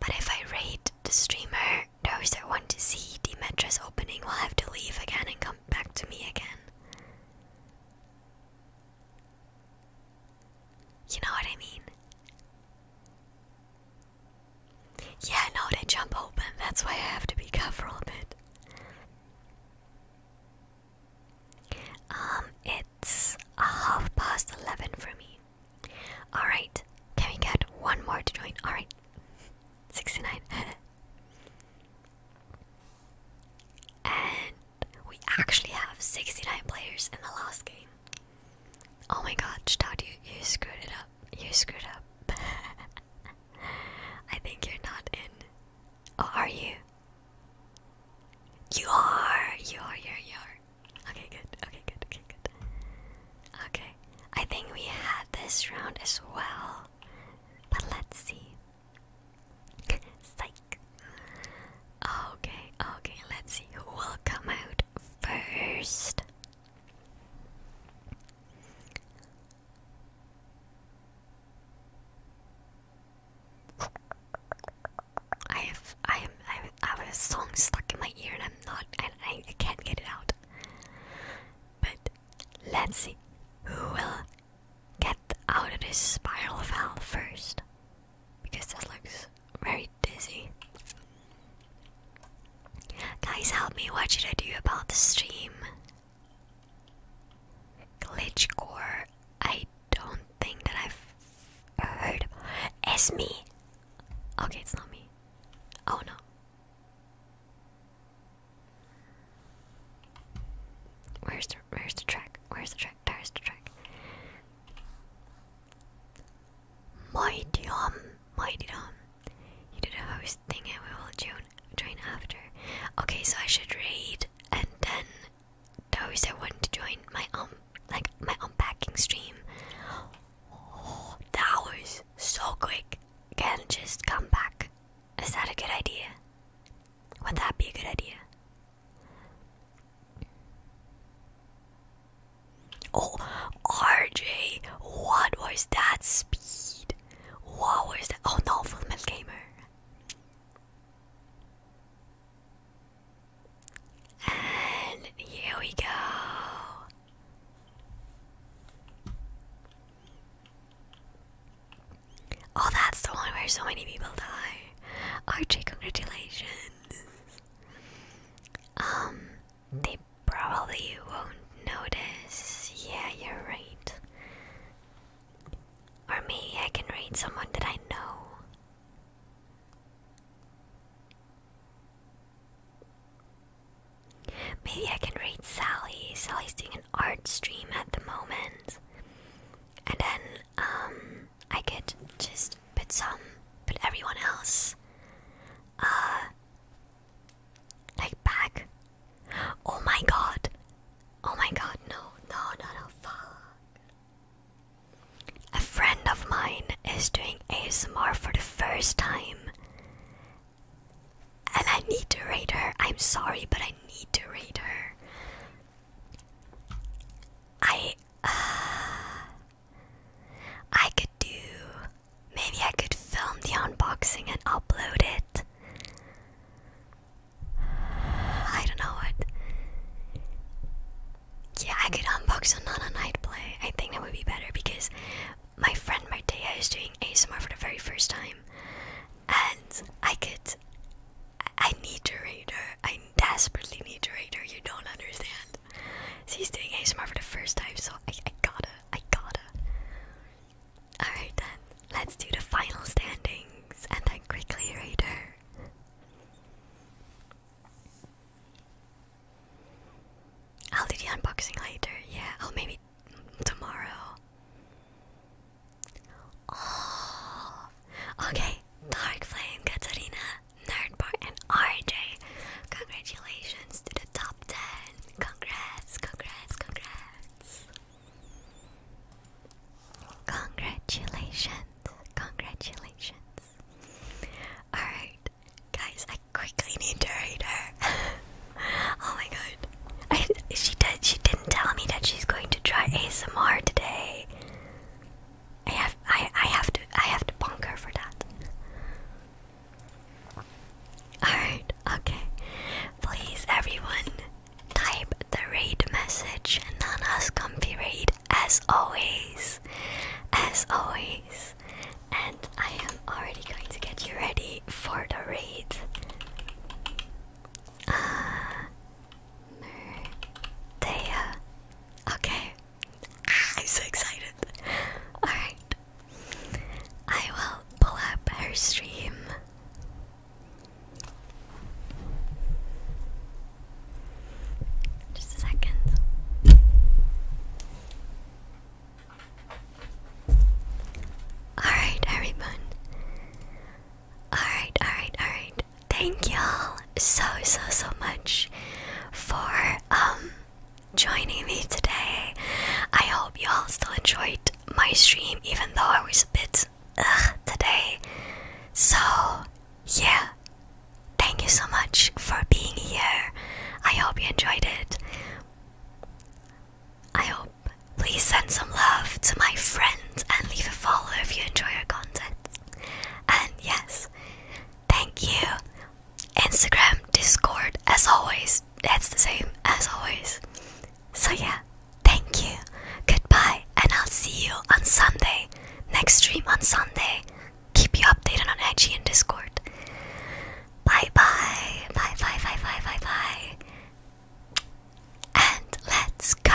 But if I rate the streamer, those that want to see Demetra's opening will have to leave again and come back to me again. You know what I mean? Yeah, no, they jump open. That's why I have to be careful of it. Um, it's half past eleven for me. Alright, can we get one more to join? Alright, 69. *laughs* and we actually have 69 players in the last game. Oh my god, Chitad, you, you screwed it up. You screwed up. *laughs* I think you're not in. Oh, are you? You are! You are, you are, you are. Okay, good, okay, good, okay, good. Okay, I think we had this round as well. But let's see. *laughs* Psych. Okay, okay, let's see who will come out first. I have I have, I have a song stuck in my ear and I'm not and I can't get it out. But let's see who will get out of this spiral of hell first because that looks very dizzy. Guys, help me. What should I do about the stream? glitch core? I don't think that I've heard. It's me. Okay, it's not me. Oh no. Where's the Where's the track? Where's the track? Where's the track. Mighty Dom, Mighty Dom. You did a host thing and we will join, join after. Okay, so I should read and then those that want to join my um like my unpacking stream. Oh, that so quick. Can just come back. Is that a good idea? Would that be a good idea? Oh, RJ, what was that speed? What was that? Oh no, Full Metal Gamer. And here we go. Oh, that's the one where so many people die. RJ, congratulations. Um, they probably won't notice. Yeah, you're right. Or maybe I can read someone that I know. Maybe I can raid Sally. Sally's doing an art stream at the moment. And then, um, I could just put some, put everyone else, uh, like back. Oh my god! Oh my god! No, no, no, no! Fuck! A friend of mine is doing ASMR for the first time, and I need to rate her. I'm sorry, but I need to rate her. I. Uh, I could do. Maybe I could film the unboxing and upload it. I don't know what. Yeah, I could unbox on Nana Night Play. I think that would be better because my friend Martea is doing ASMR for the very first time. And I could. I need to read her. I desperately need to read her. You don't understand friend. So he's doing ASMR for the first time, so I, gotta, I gotta. Alright then, let's do the final standings and then quickly later. I'll do the unboxing later, yeah, oh maybe tomorrow. Oh, okay, Dark Flame Katarina. Nerdbar, and RJ. Congratulations to the top 10. Congrats, congrats, congrats. Congratulations, congratulations. Alright, guys, I quickly need to read her. *laughs* oh my god. I, she, did, she didn't tell me that she's going to try ASMR today. I have I I have to I have to bunker for that. Alright, okay. Please everyone type the raid message Nana's comfy raid as always. As always. And I am already going to get you ready for the raid. Uh Murdeya. Okay, I'm so excited. Alright. I will pull up her stream. Just a second. Alright, everyone. Alright, alright, alright. Thank y'all so so so much for um joining me today. I hope you all still enjoyed my stream, even though I was a bit ugh today. So, yeah, thank you so much for being here. I hope you enjoyed it. I hope. Please send some love to my friends and leave a follow if you enjoy our content. And yes, thank you Instagram, Discord, as always. That's the same as always. So, yeah, thank you. Goodbye, and I'll see you on Sunday. Next stream on Sunday. Keep you updated on IG and Discord. Bye bye. Bye bye bye bye bye bye. And let's go.